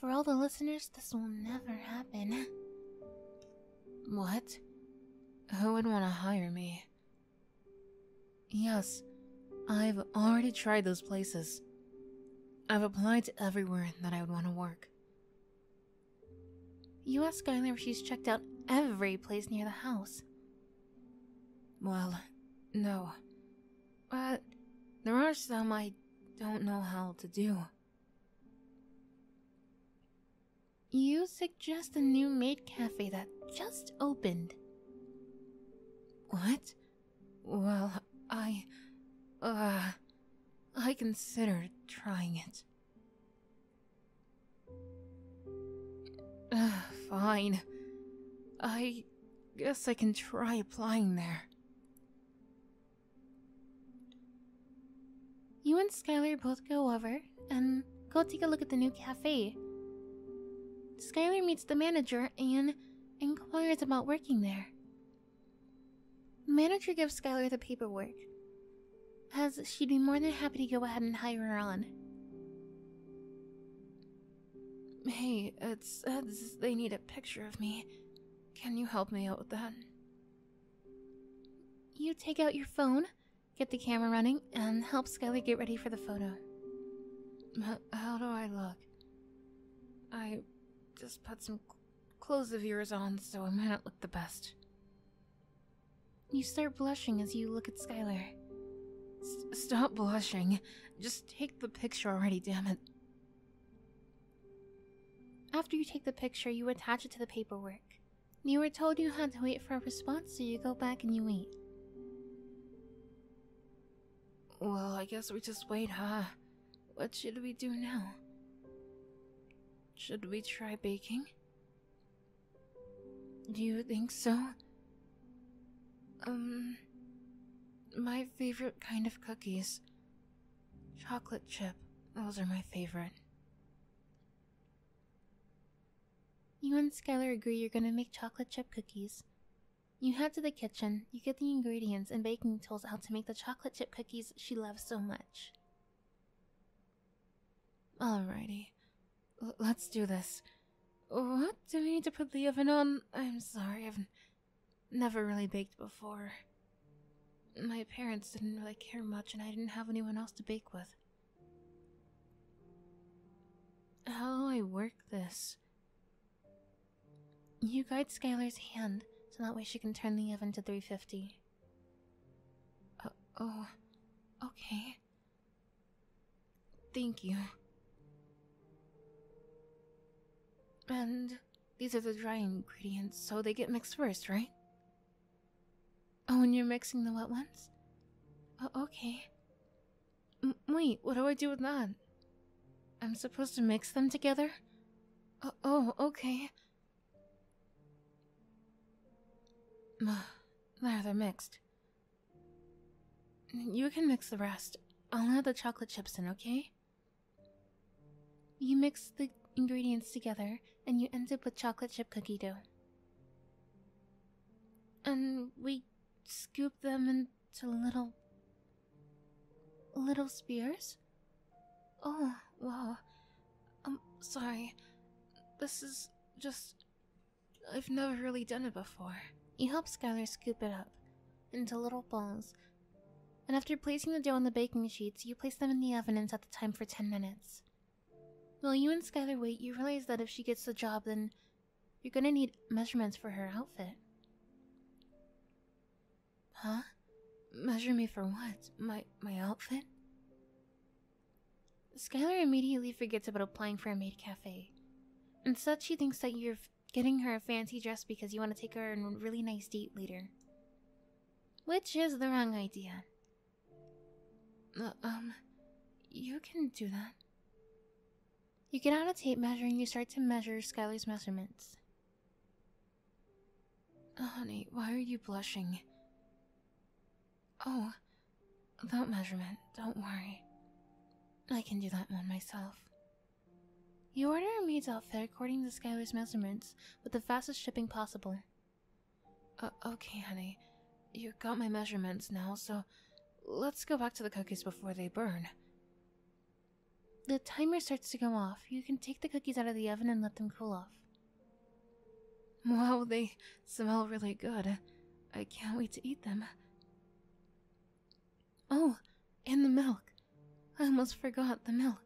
For all the listeners, this will never happen. What? Who would want to hire me? Yes, I've already tried those places. I've applied to everywhere that I would want to work. You ask Skylar if she's checked out every place near the house. Well, no. But there are some I don't know how to do. You suggest a new maid cafe that just opened. What? Well, I. uh. I considered trying it. fine. I guess I can try applying there. You and Skylar both go over and go take a look at the new cafe. Skylar meets the manager and inquires about working there. Manager gives Skylar the paperwork, as she'd be more than happy to go ahead and hire her on. Hey, it says they need a picture of me. Can you help me out with that? You take out your phone, get the camera running, and help Skylar get ready for the photo. How do I look? I just put some clothes of yours on, so I might not look the best. You start blushing as you look at Skylar. stop blushing. Just take the picture already, damn it. After you take the picture, you attach it to the paperwork. You were told you had to wait for a response, so you go back and you wait. Well, I guess we just wait, huh? What should we do now? Should we try baking? Do you think so? Um, my favorite kind of cookies. Chocolate chip, those are my favorite. You and Skylar agree you're gonna make chocolate chip cookies. You head to the kitchen, you get the ingredients and baking tools out to make the chocolate chip cookies she loves so much. Alrighty, L let's do this. What do we need to put the oven on? I'm sorry, I've never really baked before. My parents didn't really care much, and I didn't have anyone else to bake with. How do I work this? You guide Skylar's hand so that way she can turn the oven to 350. Uh, oh, okay. Thank you. And these are the dry ingredients, so they get mixed first, right? Oh, and you're mixing the wet ones? Oh, okay. wait, what do I do with that? I'm supposed to mix them together? oh, oh okay. Rather mixed. You can mix the rest. I'll add the chocolate chips in, okay? You mix the ingredients together and you end up with chocolate chip cookie dough. And we scoop them into little. little spears? Oh, wow. I'm sorry. This is just. I've never really done it before. You help Skylar scoop it up into little balls, and after placing the dough on the baking sheets, you place them in the oven and set the time for 10 minutes. While you and Skylar wait, you realize that if she gets the job, then you're gonna need measurements for her outfit. Huh? Measure me for what? My my outfit? Skylar immediately forgets about applying for a maid cafe. Instead, she thinks that you're getting her a fancy dress because you want to take her on a really nice date later. Which is the wrong idea. Uh, um, you can do that. You get out a tape measure and you start to measure Skylar's measurements. Oh, honey, why are you blushing? Oh, that measurement, don't worry. I can do that one myself. You order a maid's outfit according to Skylar's measurements with the fastest shipping possible. Uh, okay, honey. You have got my measurements now, so let's go back to the cookies before they burn. The timer starts to go off. You can take the cookies out of the oven and let them cool off. Wow, they smell really good. I can't wait to eat them. Oh, and the milk. I almost forgot the milk.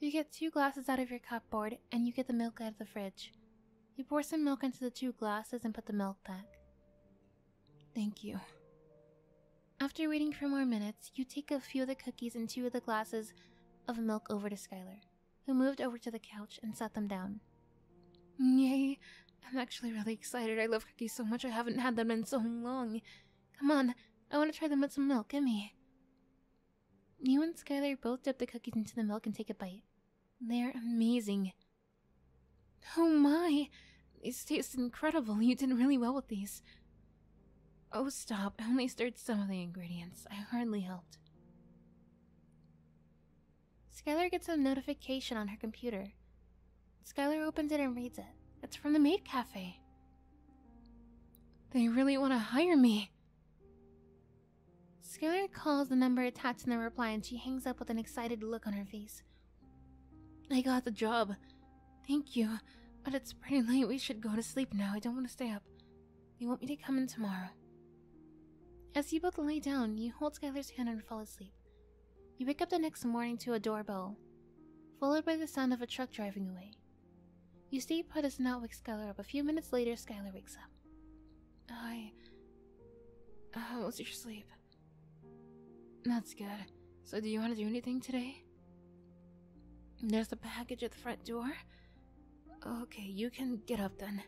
You get two glasses out of your cupboard, and you get the milk out of the fridge. You pour some milk into the two glasses and put the milk back. Thank you. After waiting for more minutes, you take a few of the cookies and two of the glasses of milk over to Skylar, who moved over to the couch and sat them down. Yay, I'm actually really excited. I love cookies so much I haven't had them in so long. Come on, I want to try them with some milk. Gimme. You and Skylar both dip the cookies into the milk and take a bite. They're amazing. Oh my, these taste incredible. You did really well with these. Oh, stop. I only stirred some of the ingredients. I hardly helped. Skylar gets a notification on her computer. Skylar opens it and reads it. It's from the maid cafe. They really want to hire me. Skylar calls the number attached in the reply and she hangs up with an excited look on her face. I got the job. Thank you, but it's pretty late. We should go to sleep now. I don't want to stay up. You want me to come in tomorrow. As you both lay down, you hold Skylar's hand and fall asleep. You wake up the next morning to a doorbell, followed by the sound of a truck driving away. You stay put as not wake Skylar up. A few minutes later, Skylar wakes up. I. How was your sleep? That's good. So, do you want to do anything today? There's a package at the front door. Okay, you can get up then.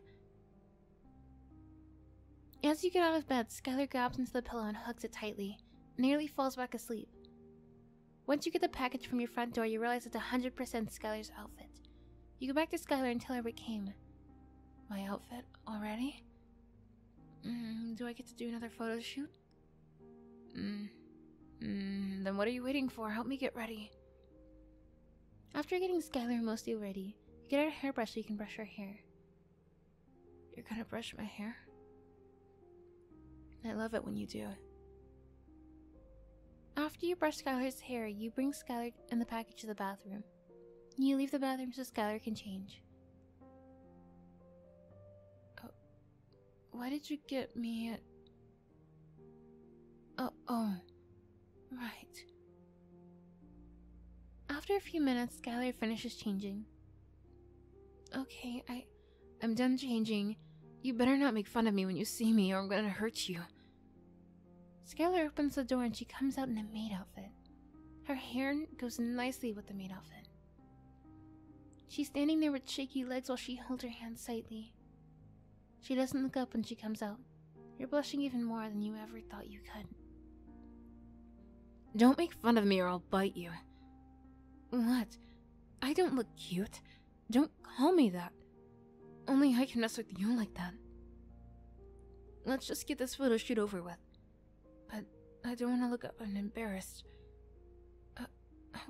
As you get out of bed, Skylar grabs into the pillow and hugs it tightly, nearly falls back asleep. Once you get the package from your front door, you realize it's 100% Skylar's outfit. You go back to Skylar and tell her what came. My outfit already? Mm, do I get to do another photo shoot? Mm. mm. then what are you waiting for? Help me get ready. After getting Skylar mostly ready, you get out a hairbrush so you can brush her hair. You're gonna brush my hair? I love it when you do. After you brush Skylar's hair, you bring Skylar and the package to the bathroom. You leave the bathroom so Skylar can change. Oh, why did you get me Oh, oh, right. After a few minutes, Skylar finishes changing. Okay, I, I'm done changing. You better not make fun of me when you see me, or I'm gonna hurt you. Skylar opens the door and she comes out in a maid outfit. Her hair goes nicely with the maid outfit. She's standing there with shaky legs while she holds her hands tightly. She doesn't look up when she comes out. You're blushing even more than you ever thought you could. Don't make fun of me or I'll bite you. What? I don't look cute. Don't call me that. Only I can mess with you like that. Let's just get this photo shoot over with. But I don't want to look up I'm embarrassed. Uh,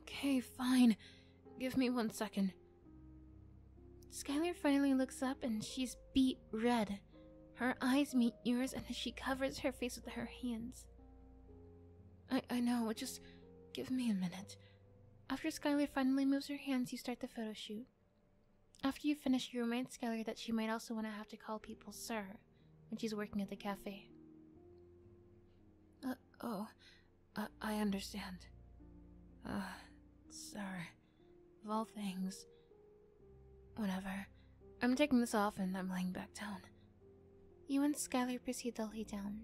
okay, fine. Give me one second. Skylar finally looks up and she's beet red. Her eyes meet yours and she covers her face with her hands. I, I know, just give me a minute. After Skylar finally moves her hands, you start the photo shoot. After you finish, you remind Skylar that she might also want to have to call people sir when she's working at the cafe. Uh, oh, I understand. Uh, sir, of all things. Whatever. I'm taking this off and I'm laying back down. You and Skylar proceed to lay down.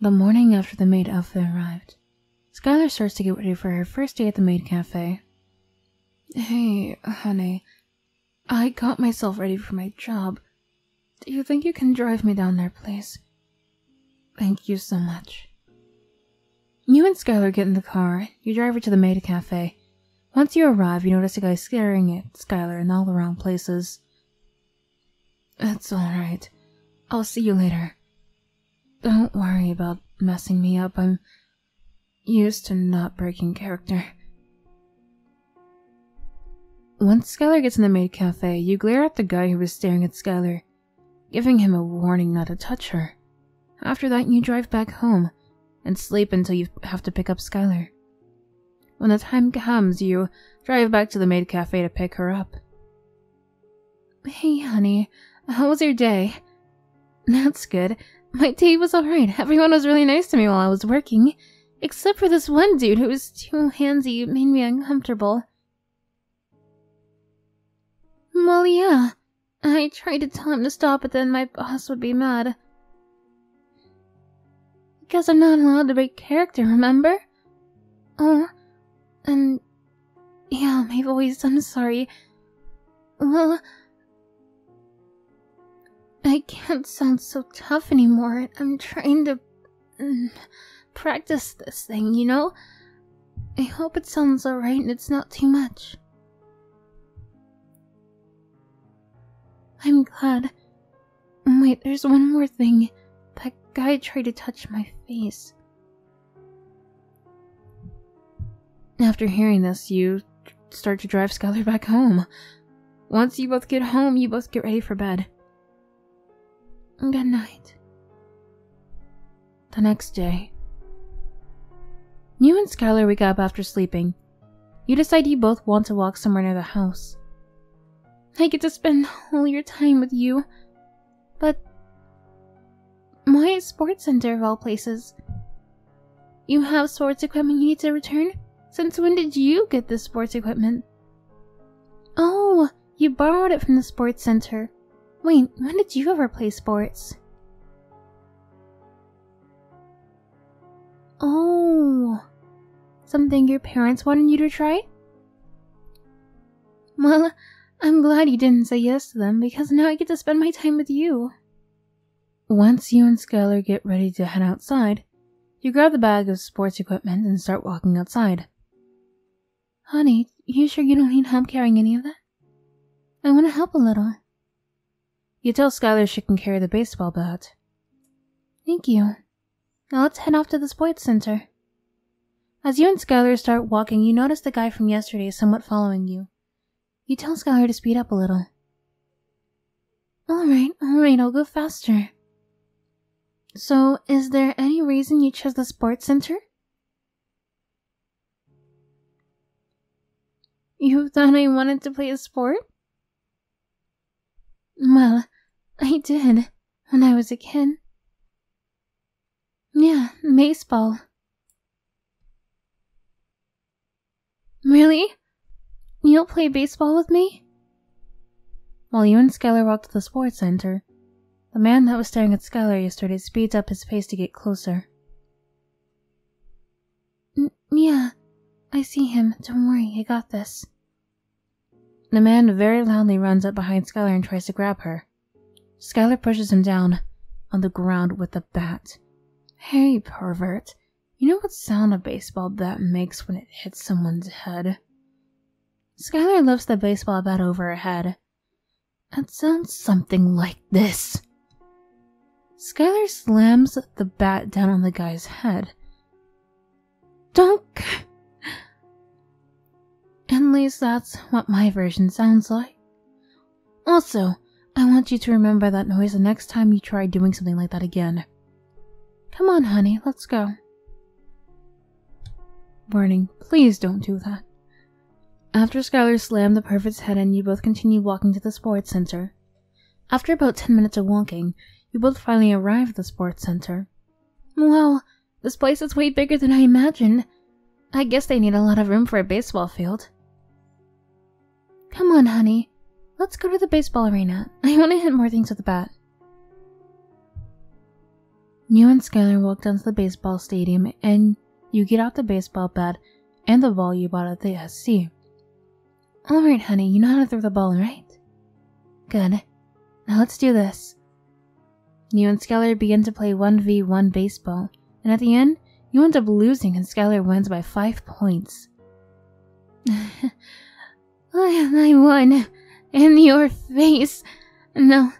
The morning after the maid outfit arrived, Skylar starts to get ready for her first day at the maid cafe. Hey, honey, I got myself ready for my job. Do you think you can drive me down there, please? Thank you so much. You and Skylar get in the car, you drive her to the maid cafe. Once you arrive, you notice a guy staring at Skylar in all the wrong places. It's alright. I'll see you later. Don't worry about messing me up. I'm used to not breaking character. Once Skylar gets in the maid cafe, you glare at the guy who was staring at Skylar, giving him a warning not to touch her. After that, you drive back home and sleep until you have to pick up Skylar. When the time comes, you drive back to the maid cafe to pick her up. Hey, honey, how was your day? That's good. My day was alright. Everyone was really nice to me while I was working. Except for this one dude who was too handsy, and made me uncomfortable. Well, yeah. I tried to tell him to stop, but then my boss would be mad. Because I'm not allowed to break character, remember? Oh, and yeah, i my voice, I'm sorry. Well, I can't sound so tough anymore. I'm trying to mm, practice this thing, you know? I hope it sounds alright and it's not too much. I'm glad. Wait, there's one more thing. That guy tried to touch my face. After hearing this, you start to drive Skylar back home. Once you both get home, you both get ready for bed. Good night. The next day. You and Skylar wake up after sleeping. You decide you both want to walk somewhere near the house. I get to spend all your time with you. But my sports center of all places. You have sports equipment you need to return? Since when did you get this sports equipment? Oh, you borrowed it from the sports center. Wait, when did you ever play sports? Oh. Something your parents wanted you to try? Well, I'm glad you didn't say yes to them because now I get to spend my time with you. Once you and Skylar get ready to head outside, you grab the bag of sports equipment and start walking outside. Honey, you sure you don't need help carrying any of that? I want to help a little. You tell Skylar she can carry the baseball bat. Thank you. Now let's head off to the sports center. As you and Skylar start walking, you notice the guy from yesterday is somewhat following you. You tell Skylar to speed up a little. Alright, alright, I'll go faster. So, is there any reason you chose the sports center? You thought I wanted to play a sport? Well, I did when I was a kid. Yeah, baseball. Really? You'll play baseball with me? While you and Skylar walked to the sports center, the man that was staring at Skylar yesterday speeds up his pace to get closer. N yeah, I see him. Don't worry, I got this. The man very loudly runs up behind Skylar and tries to grab her. Skylar pushes him down on the ground with a bat. Hey, pervert. You know what sound a baseball bat makes when it hits someone's head? Skylar lifts the baseball bat over her head. It sounds something like this. Skylar slams the bat down on the guy's head. Donk. At least that's what my version sounds like. Also, I want you to remember that noise the next time you try doing something like that again. Come on, honey, let's go. Warning, please don't do that. After Skylar slammed the perfect head in, you both continued walking to the sports center. After about 10 minutes of walking, you both finally arrived at the sports center. Wow, this place is way bigger than I imagined. I guess they need a lot of room for a baseball field. Come on, honey. Let's go to the baseball arena. I want to hit more things with the bat. You and Skylar walk down to the baseball stadium and you get out the baseball bat and the ball you bought at the SC. Alright, honey, you know how to throw the ball, right? Good. Now let's do this. You and Skylar begin to play 1v1 baseball, and at the end, you end up losing and Skylar wins by 5 points. I, I won. In your face. No,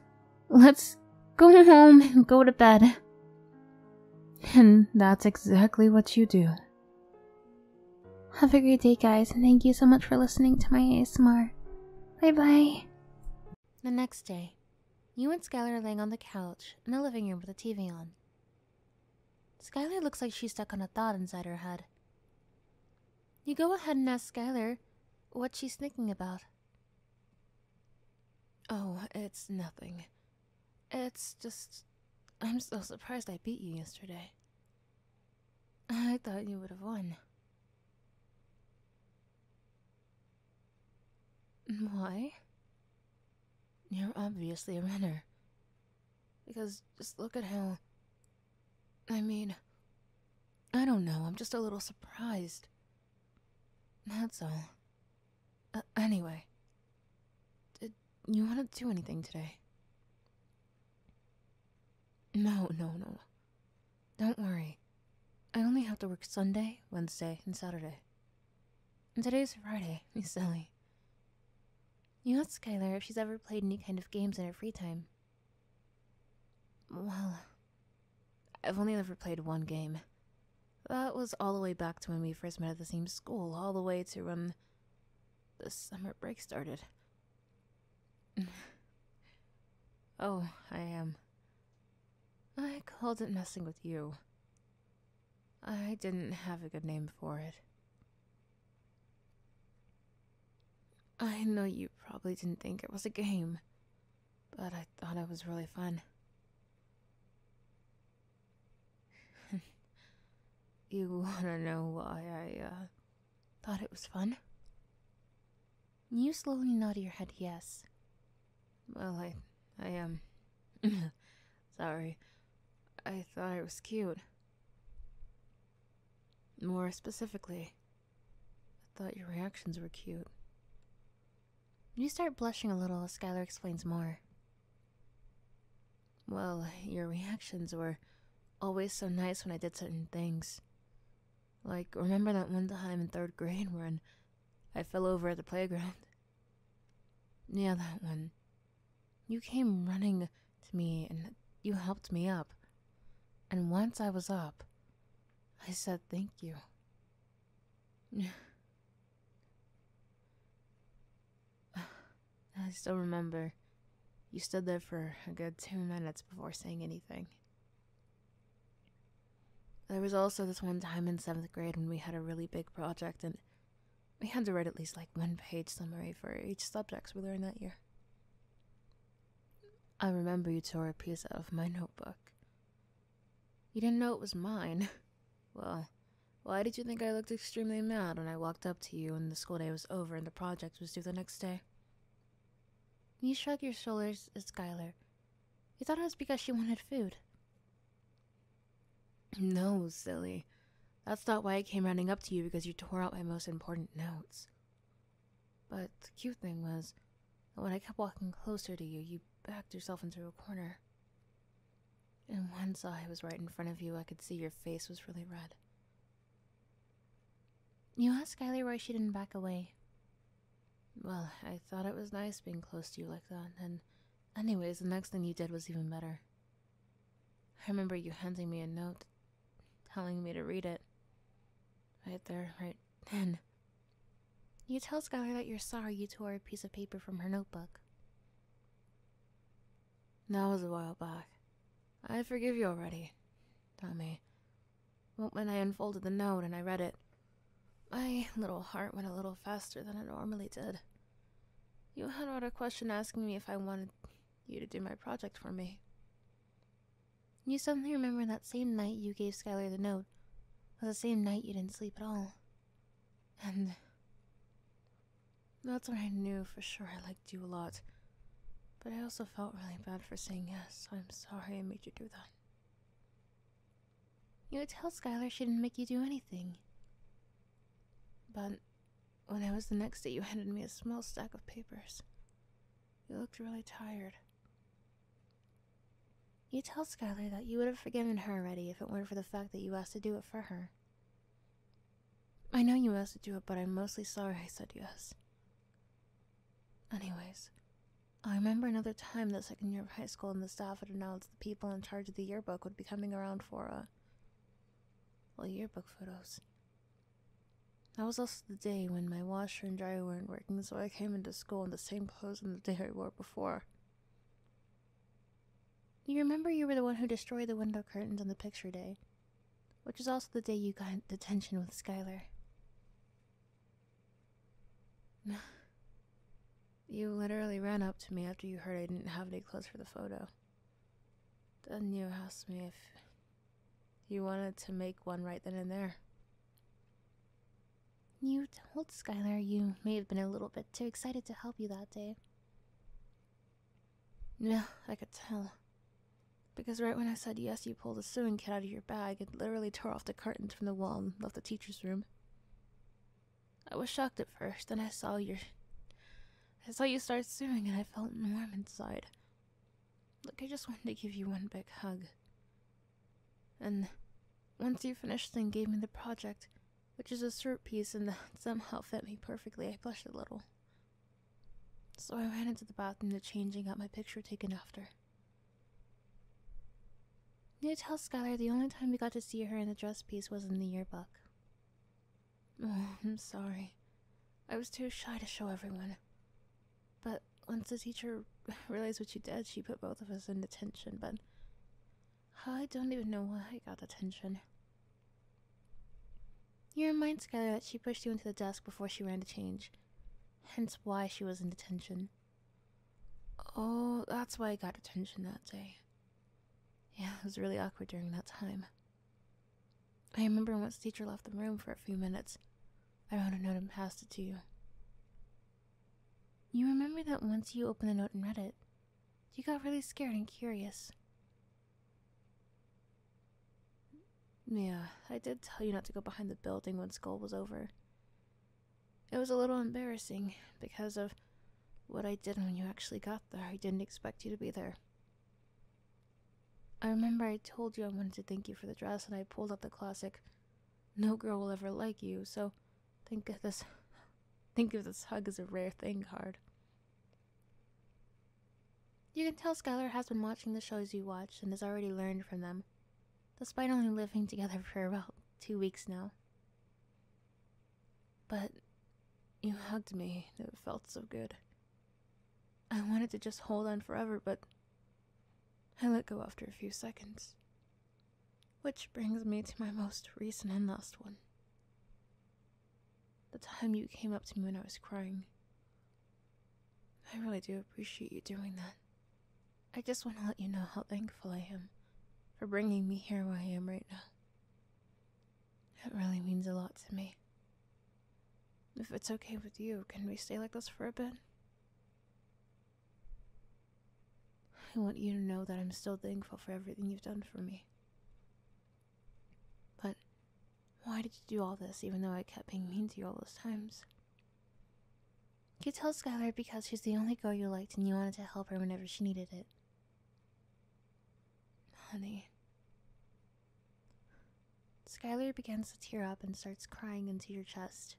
let's go home and go to bed. And that's exactly what you do. Have a great day, guys, and thank you so much for listening to my ASMR. Bye bye. The next day, you and Skylar are laying on the couch in the living room with the TV on. Skylar looks like she's stuck on a thought inside her head. You go ahead and ask Skylar what she's thinking about. Oh, it's nothing. It's just. I'm so surprised I beat you yesterday. I thought you would have won. Why? You're obviously a runner. Because just look at how. I mean, I don't know, I'm just a little surprised. That's all. Uh, anyway, did you want to do anything today? No, no, no. Don't worry. I only have to work Sunday, Wednesday, and Saturday. And today's Friday, you silly. You asked Skylar if she's ever played any kind of games in her free time. Well, I've only ever played one game. That was all the way back to when we first met at the same school, all the way to when the summer break started oh, I am. I called it messing with you. I didn't have a good name for it. I know you probably didn't think it was a game, but I thought it was really fun. you wanna know why I, uh, Thought it was fun? You slowly nod your head yes. Well, I. I am. Um, sorry. I thought it was cute. More specifically, I thought your reactions were cute. You start blushing a little Skylar explains more. Well, your reactions were always so nice when I did certain things. Like, remember that one time in third grade when I fell over at the playground? Yeah, that one. You came running to me and you helped me up. And once I was up, I said thank you. I still remember you stood there for a good two minutes before saying anything. There was also this one time in seventh grade when we had a really big project and we had to write at least like one page summary for each subject we learned that year. I remember you tore a piece out of my notebook. You didn't know it was mine. Well, why did you think I looked extremely mad when I walked up to you and the school day was over and the project was due the next day? You shrugged your shoulders at Skylar. You thought it was because she wanted food. No, silly. That's not why I came running up to you because you tore out my most important notes. But the cute thing was when I kept walking closer to you, you backed yourself into a corner. And once I was right in front of you, I could see your face was really red. You asked Skylar why she didn't back away. Well, I thought it was nice being close to you like that, and anyways, the next thing you did was even better. I remember you handing me a note, telling me to read it. Right there, right then. You tell Skylar that you're sorry you tore a piece of paper from her notebook. That was a while back. I forgive you already, Tommy. But when I unfolded the note and I read it, my little heart went a little faster than it normally did. You had out a question asking me if I wanted you to do my project for me. You suddenly remember that same night you gave Skylar the note was the same night you didn't sleep at all. And that's when I knew for sure I liked you a lot. But I also felt really bad for saying yes. I'm sorry I made you do that. You would tell Skylar she didn't make you do anything. But when I was the next day, you handed me a small stack of papers. You looked really tired. You tell Skylar that you would have forgiven her already if it weren't for the fact that you asked to do it for her. I know you asked to do it, but I'm mostly sorry I said yes. Anyways, I remember another time that second year of high school and the staff had announced the people in charge of the yearbook would be coming around for, a uh, well, yearbook photos. That was also the day when my washer and dryer weren't working, so I came into school in the same clothes on the day I wore before. You remember you were the one who destroyed the window curtains on the picture day which is also the day you got detention with Skylar. you literally ran up to me after you heard I didn't have any clothes for the photo. Then you asked me if you wanted to make one right then and there. You told Skylar you may have been a little bit too excited to help you that day. No, I could tell. Because right when I said yes, you pulled a sewing kit out of your bag and literally tore off the curtains from the wall and left the teacher's room. I was shocked at first, and I saw your. I saw you start sewing and I felt warm inside. Look, I just wanted to give you one big hug. And once you finished and gave me the project, which is a shirt piece and that somehow fit me perfectly, I blushed a little. So I ran into the bathroom to change and got my picture taken after. Need to tell Skylar the only time we got to see her in a dress piece was in the yearbook. Oh, I'm sorry. I was too shy to show everyone. But once the teacher realized what you did, she put both of us in detention, but I don't even know why I got detention. You remind Skylar that she pushed you into the desk before she ran to change, hence why she was in detention. Oh, that's why I got detention that day. Yeah, it was really awkward during that time. I remember once teacher left the room for a few minutes, I wrote a note and passed it to you. You remember that once you opened the note and read it, you got really scared and curious. Yeah, I did tell you not to go behind the building when school was over. It was a little embarrassing because of what I did when you actually got there. I didn't expect you to be there. I remember I told you I wanted to thank you for the dress, and I pulled out the classic, "No girl will ever like you." So, think of this, think of this hug as a rare thing card. You can tell Skylar has been watching the shows you watch and has already learned from them, despite only living together for about two weeks now. But you hugged me, it felt so good. I wanted to just hold on forever, but I let go after a few seconds. Which brings me to my most recent and last one. The time you came up to me when I was crying. I really do appreciate you doing that. I just want to let you know how thankful I am for bringing me here where I am right now. It really means a lot to me. If it's okay with you, can we stay like this for a bit? I want you to know that I'm still thankful for everything you've done for me. But why did you do all this, even though I kept being mean to you all those times? You tell Skylar because she's the only girl you liked and you wanted to help her whenever she needed it. Honey. Skylar begins to tear up and starts crying into your chest.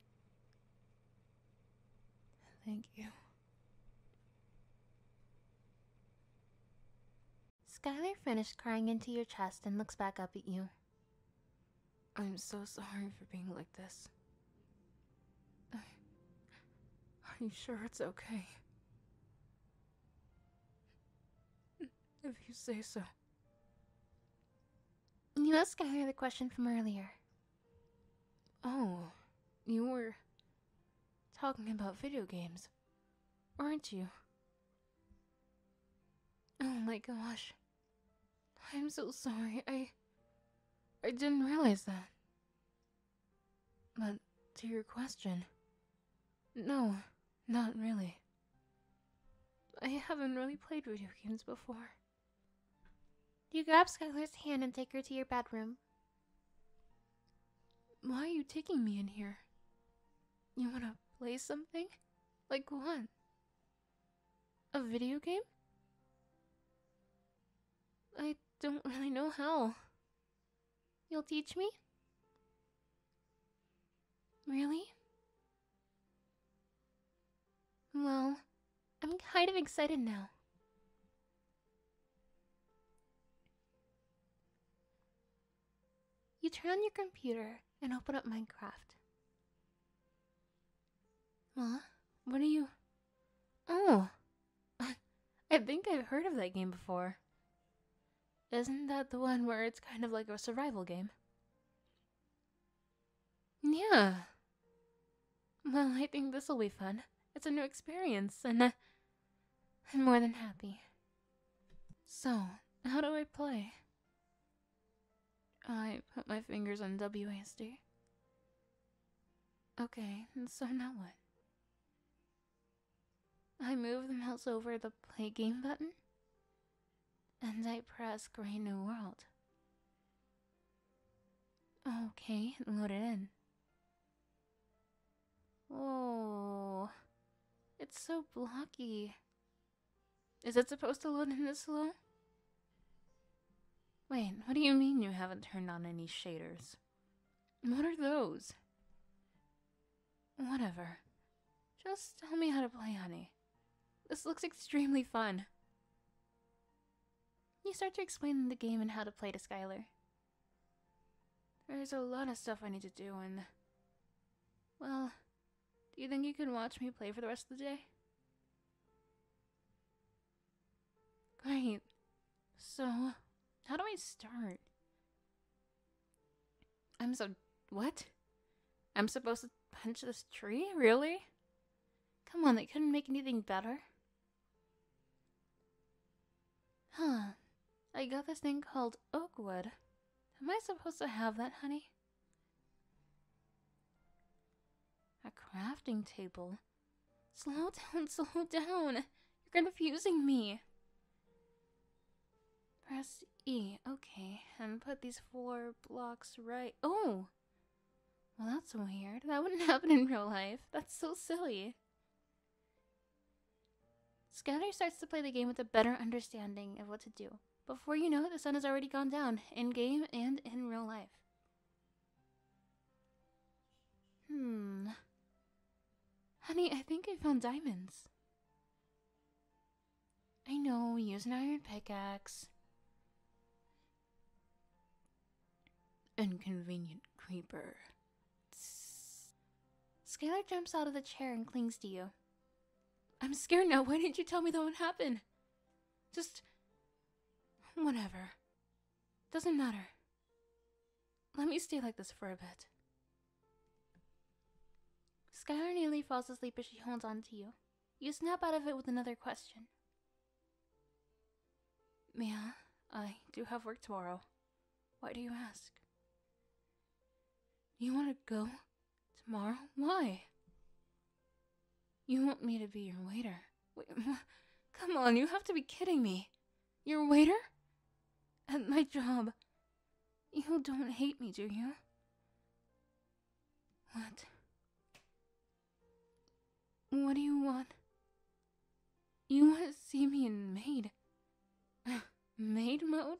Thank you. Skylar finished crying into your chest and looks back up at you. I'm so sorry for being like this. Are you sure it's okay? If you say so. You asked Skylar the question from earlier. Oh, you were talking about video games, weren't you? Oh my gosh. I'm so sorry. I I didn't realize that. But to your question, no, not really. I haven't really played video games before. You grab Skylar's hand and take her to your bedroom. Why are you taking me in here? You wanna play something? Like one. A video game? I don't really know how. You'll teach me? Really? Well, I'm kind of excited now. You turn on your computer and open up Minecraft. Ma, What are you. Oh! I think I've heard of that game before. Isn't that the one where it's kind of like a survival game? Yeah. Well, I think this'll be fun. It's a new experience, and uh, I'm more than happy. So, how do I play? I put my fingers on WASD. Okay, so now what? I move the mouse over the play game button, and I press Green New World. Okay, load it in. Oh, it's so blocky. Is it supposed to load in this slow? Wait, what do you mean you haven't turned on any shaders? What are those? Whatever. Just tell me how to play, honey. This looks extremely fun. You start to explain the game and how to play to Skylar. There's a lot of stuff I need to do, and well, do you think you can watch me play for the rest of the day? Great. So, how do I start? I'm so. What? I'm supposed to punch this tree? Really? Come on, they couldn't make anything better. Huh. I got this thing called Oakwood. Am I supposed to have that, honey? A crafting table? Slow down, slow down! You're confusing me! Press E, okay, and put these four blocks right. Oh! Well, that's weird. That wouldn't happen in real life. That's so silly. Scanner starts to play the game with a better understanding of what to do. Before you know it, the sun has already gone down, in game and in real life. Hmm. Honey, I think I found diamonds. I know, use an iron pickaxe. Inconvenient creeper. Scalar jumps out of the chair and clings to you. I'm scared now. Why didn't you tell me that would happen? Just. whatever. Doesn't matter. Let me stay like this for a bit. Skylar nearly falls asleep as she holds on to you. You snap out of it with another question. Mia, I do have work tomorrow. Why do you ask? You want to go tomorrow? Why? You want me to be your waiter? Wait, come on, you have to be kidding me. Your waiter? At my job. You don't hate me, do you? What? What do you want? You want to see me in maid? maid mode?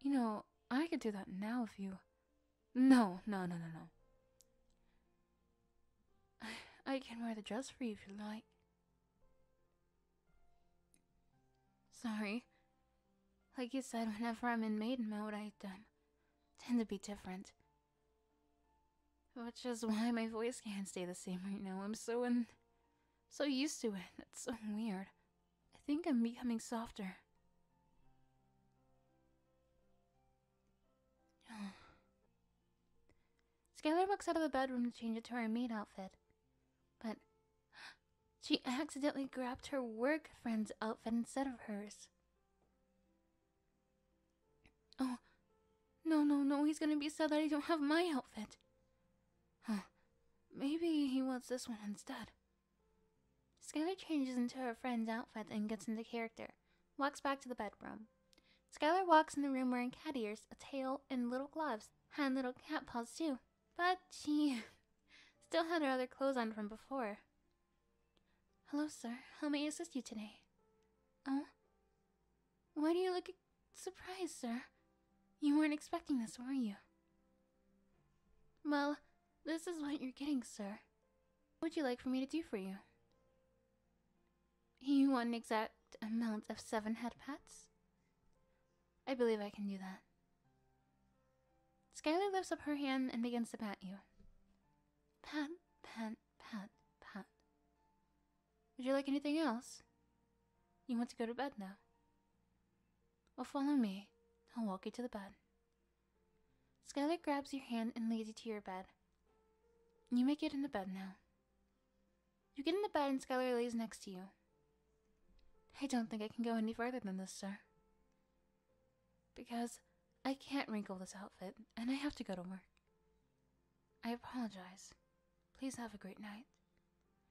You know, I could do that now if you. No, no, no, no, no. I, I can wear the dress for you if you like. Sorry. Like you said, whenever I'm in maiden mode, I tend to be different. Which is why my voice can't stay the same right now. I'm so in so used to it, it's so weird. I think I'm becoming softer. Skylar walks out of the bedroom to change into her maid outfit. But she accidentally grabbed her work friend's outfit instead of hers. Oh, no, no, no, he's gonna be sad that I don't have my outfit. Huh. Maybe he wants this one instead. Skylar changes into her friend's outfit and gets into character, walks back to the bedroom. Skylar walks in the room wearing cat ears, a tail, and little gloves, and little cat paws too. But she still had her other clothes on from before. Hello, sir. How may I assist you today? Oh? Why do you look surprise, sir. You weren't expecting this, were you? Well, this is what you're getting, sir. What would you like for me to do for you? You want an exact amount of seven head pats? I believe I can do that. Skylar lifts up her hand and begins to pat you. Pat, pat, pat, pat. Would you like anything else? You want to go to bed now. Well, follow me. I'll walk you to the bed. Skylar grabs your hand and leads you to your bed. You may get in the bed now. You get in the bed and Skylar lays next to you. I don't think I can go any further than this, sir. Because I can't wrinkle this outfit, and I have to go to work. I apologize. Please have a great night.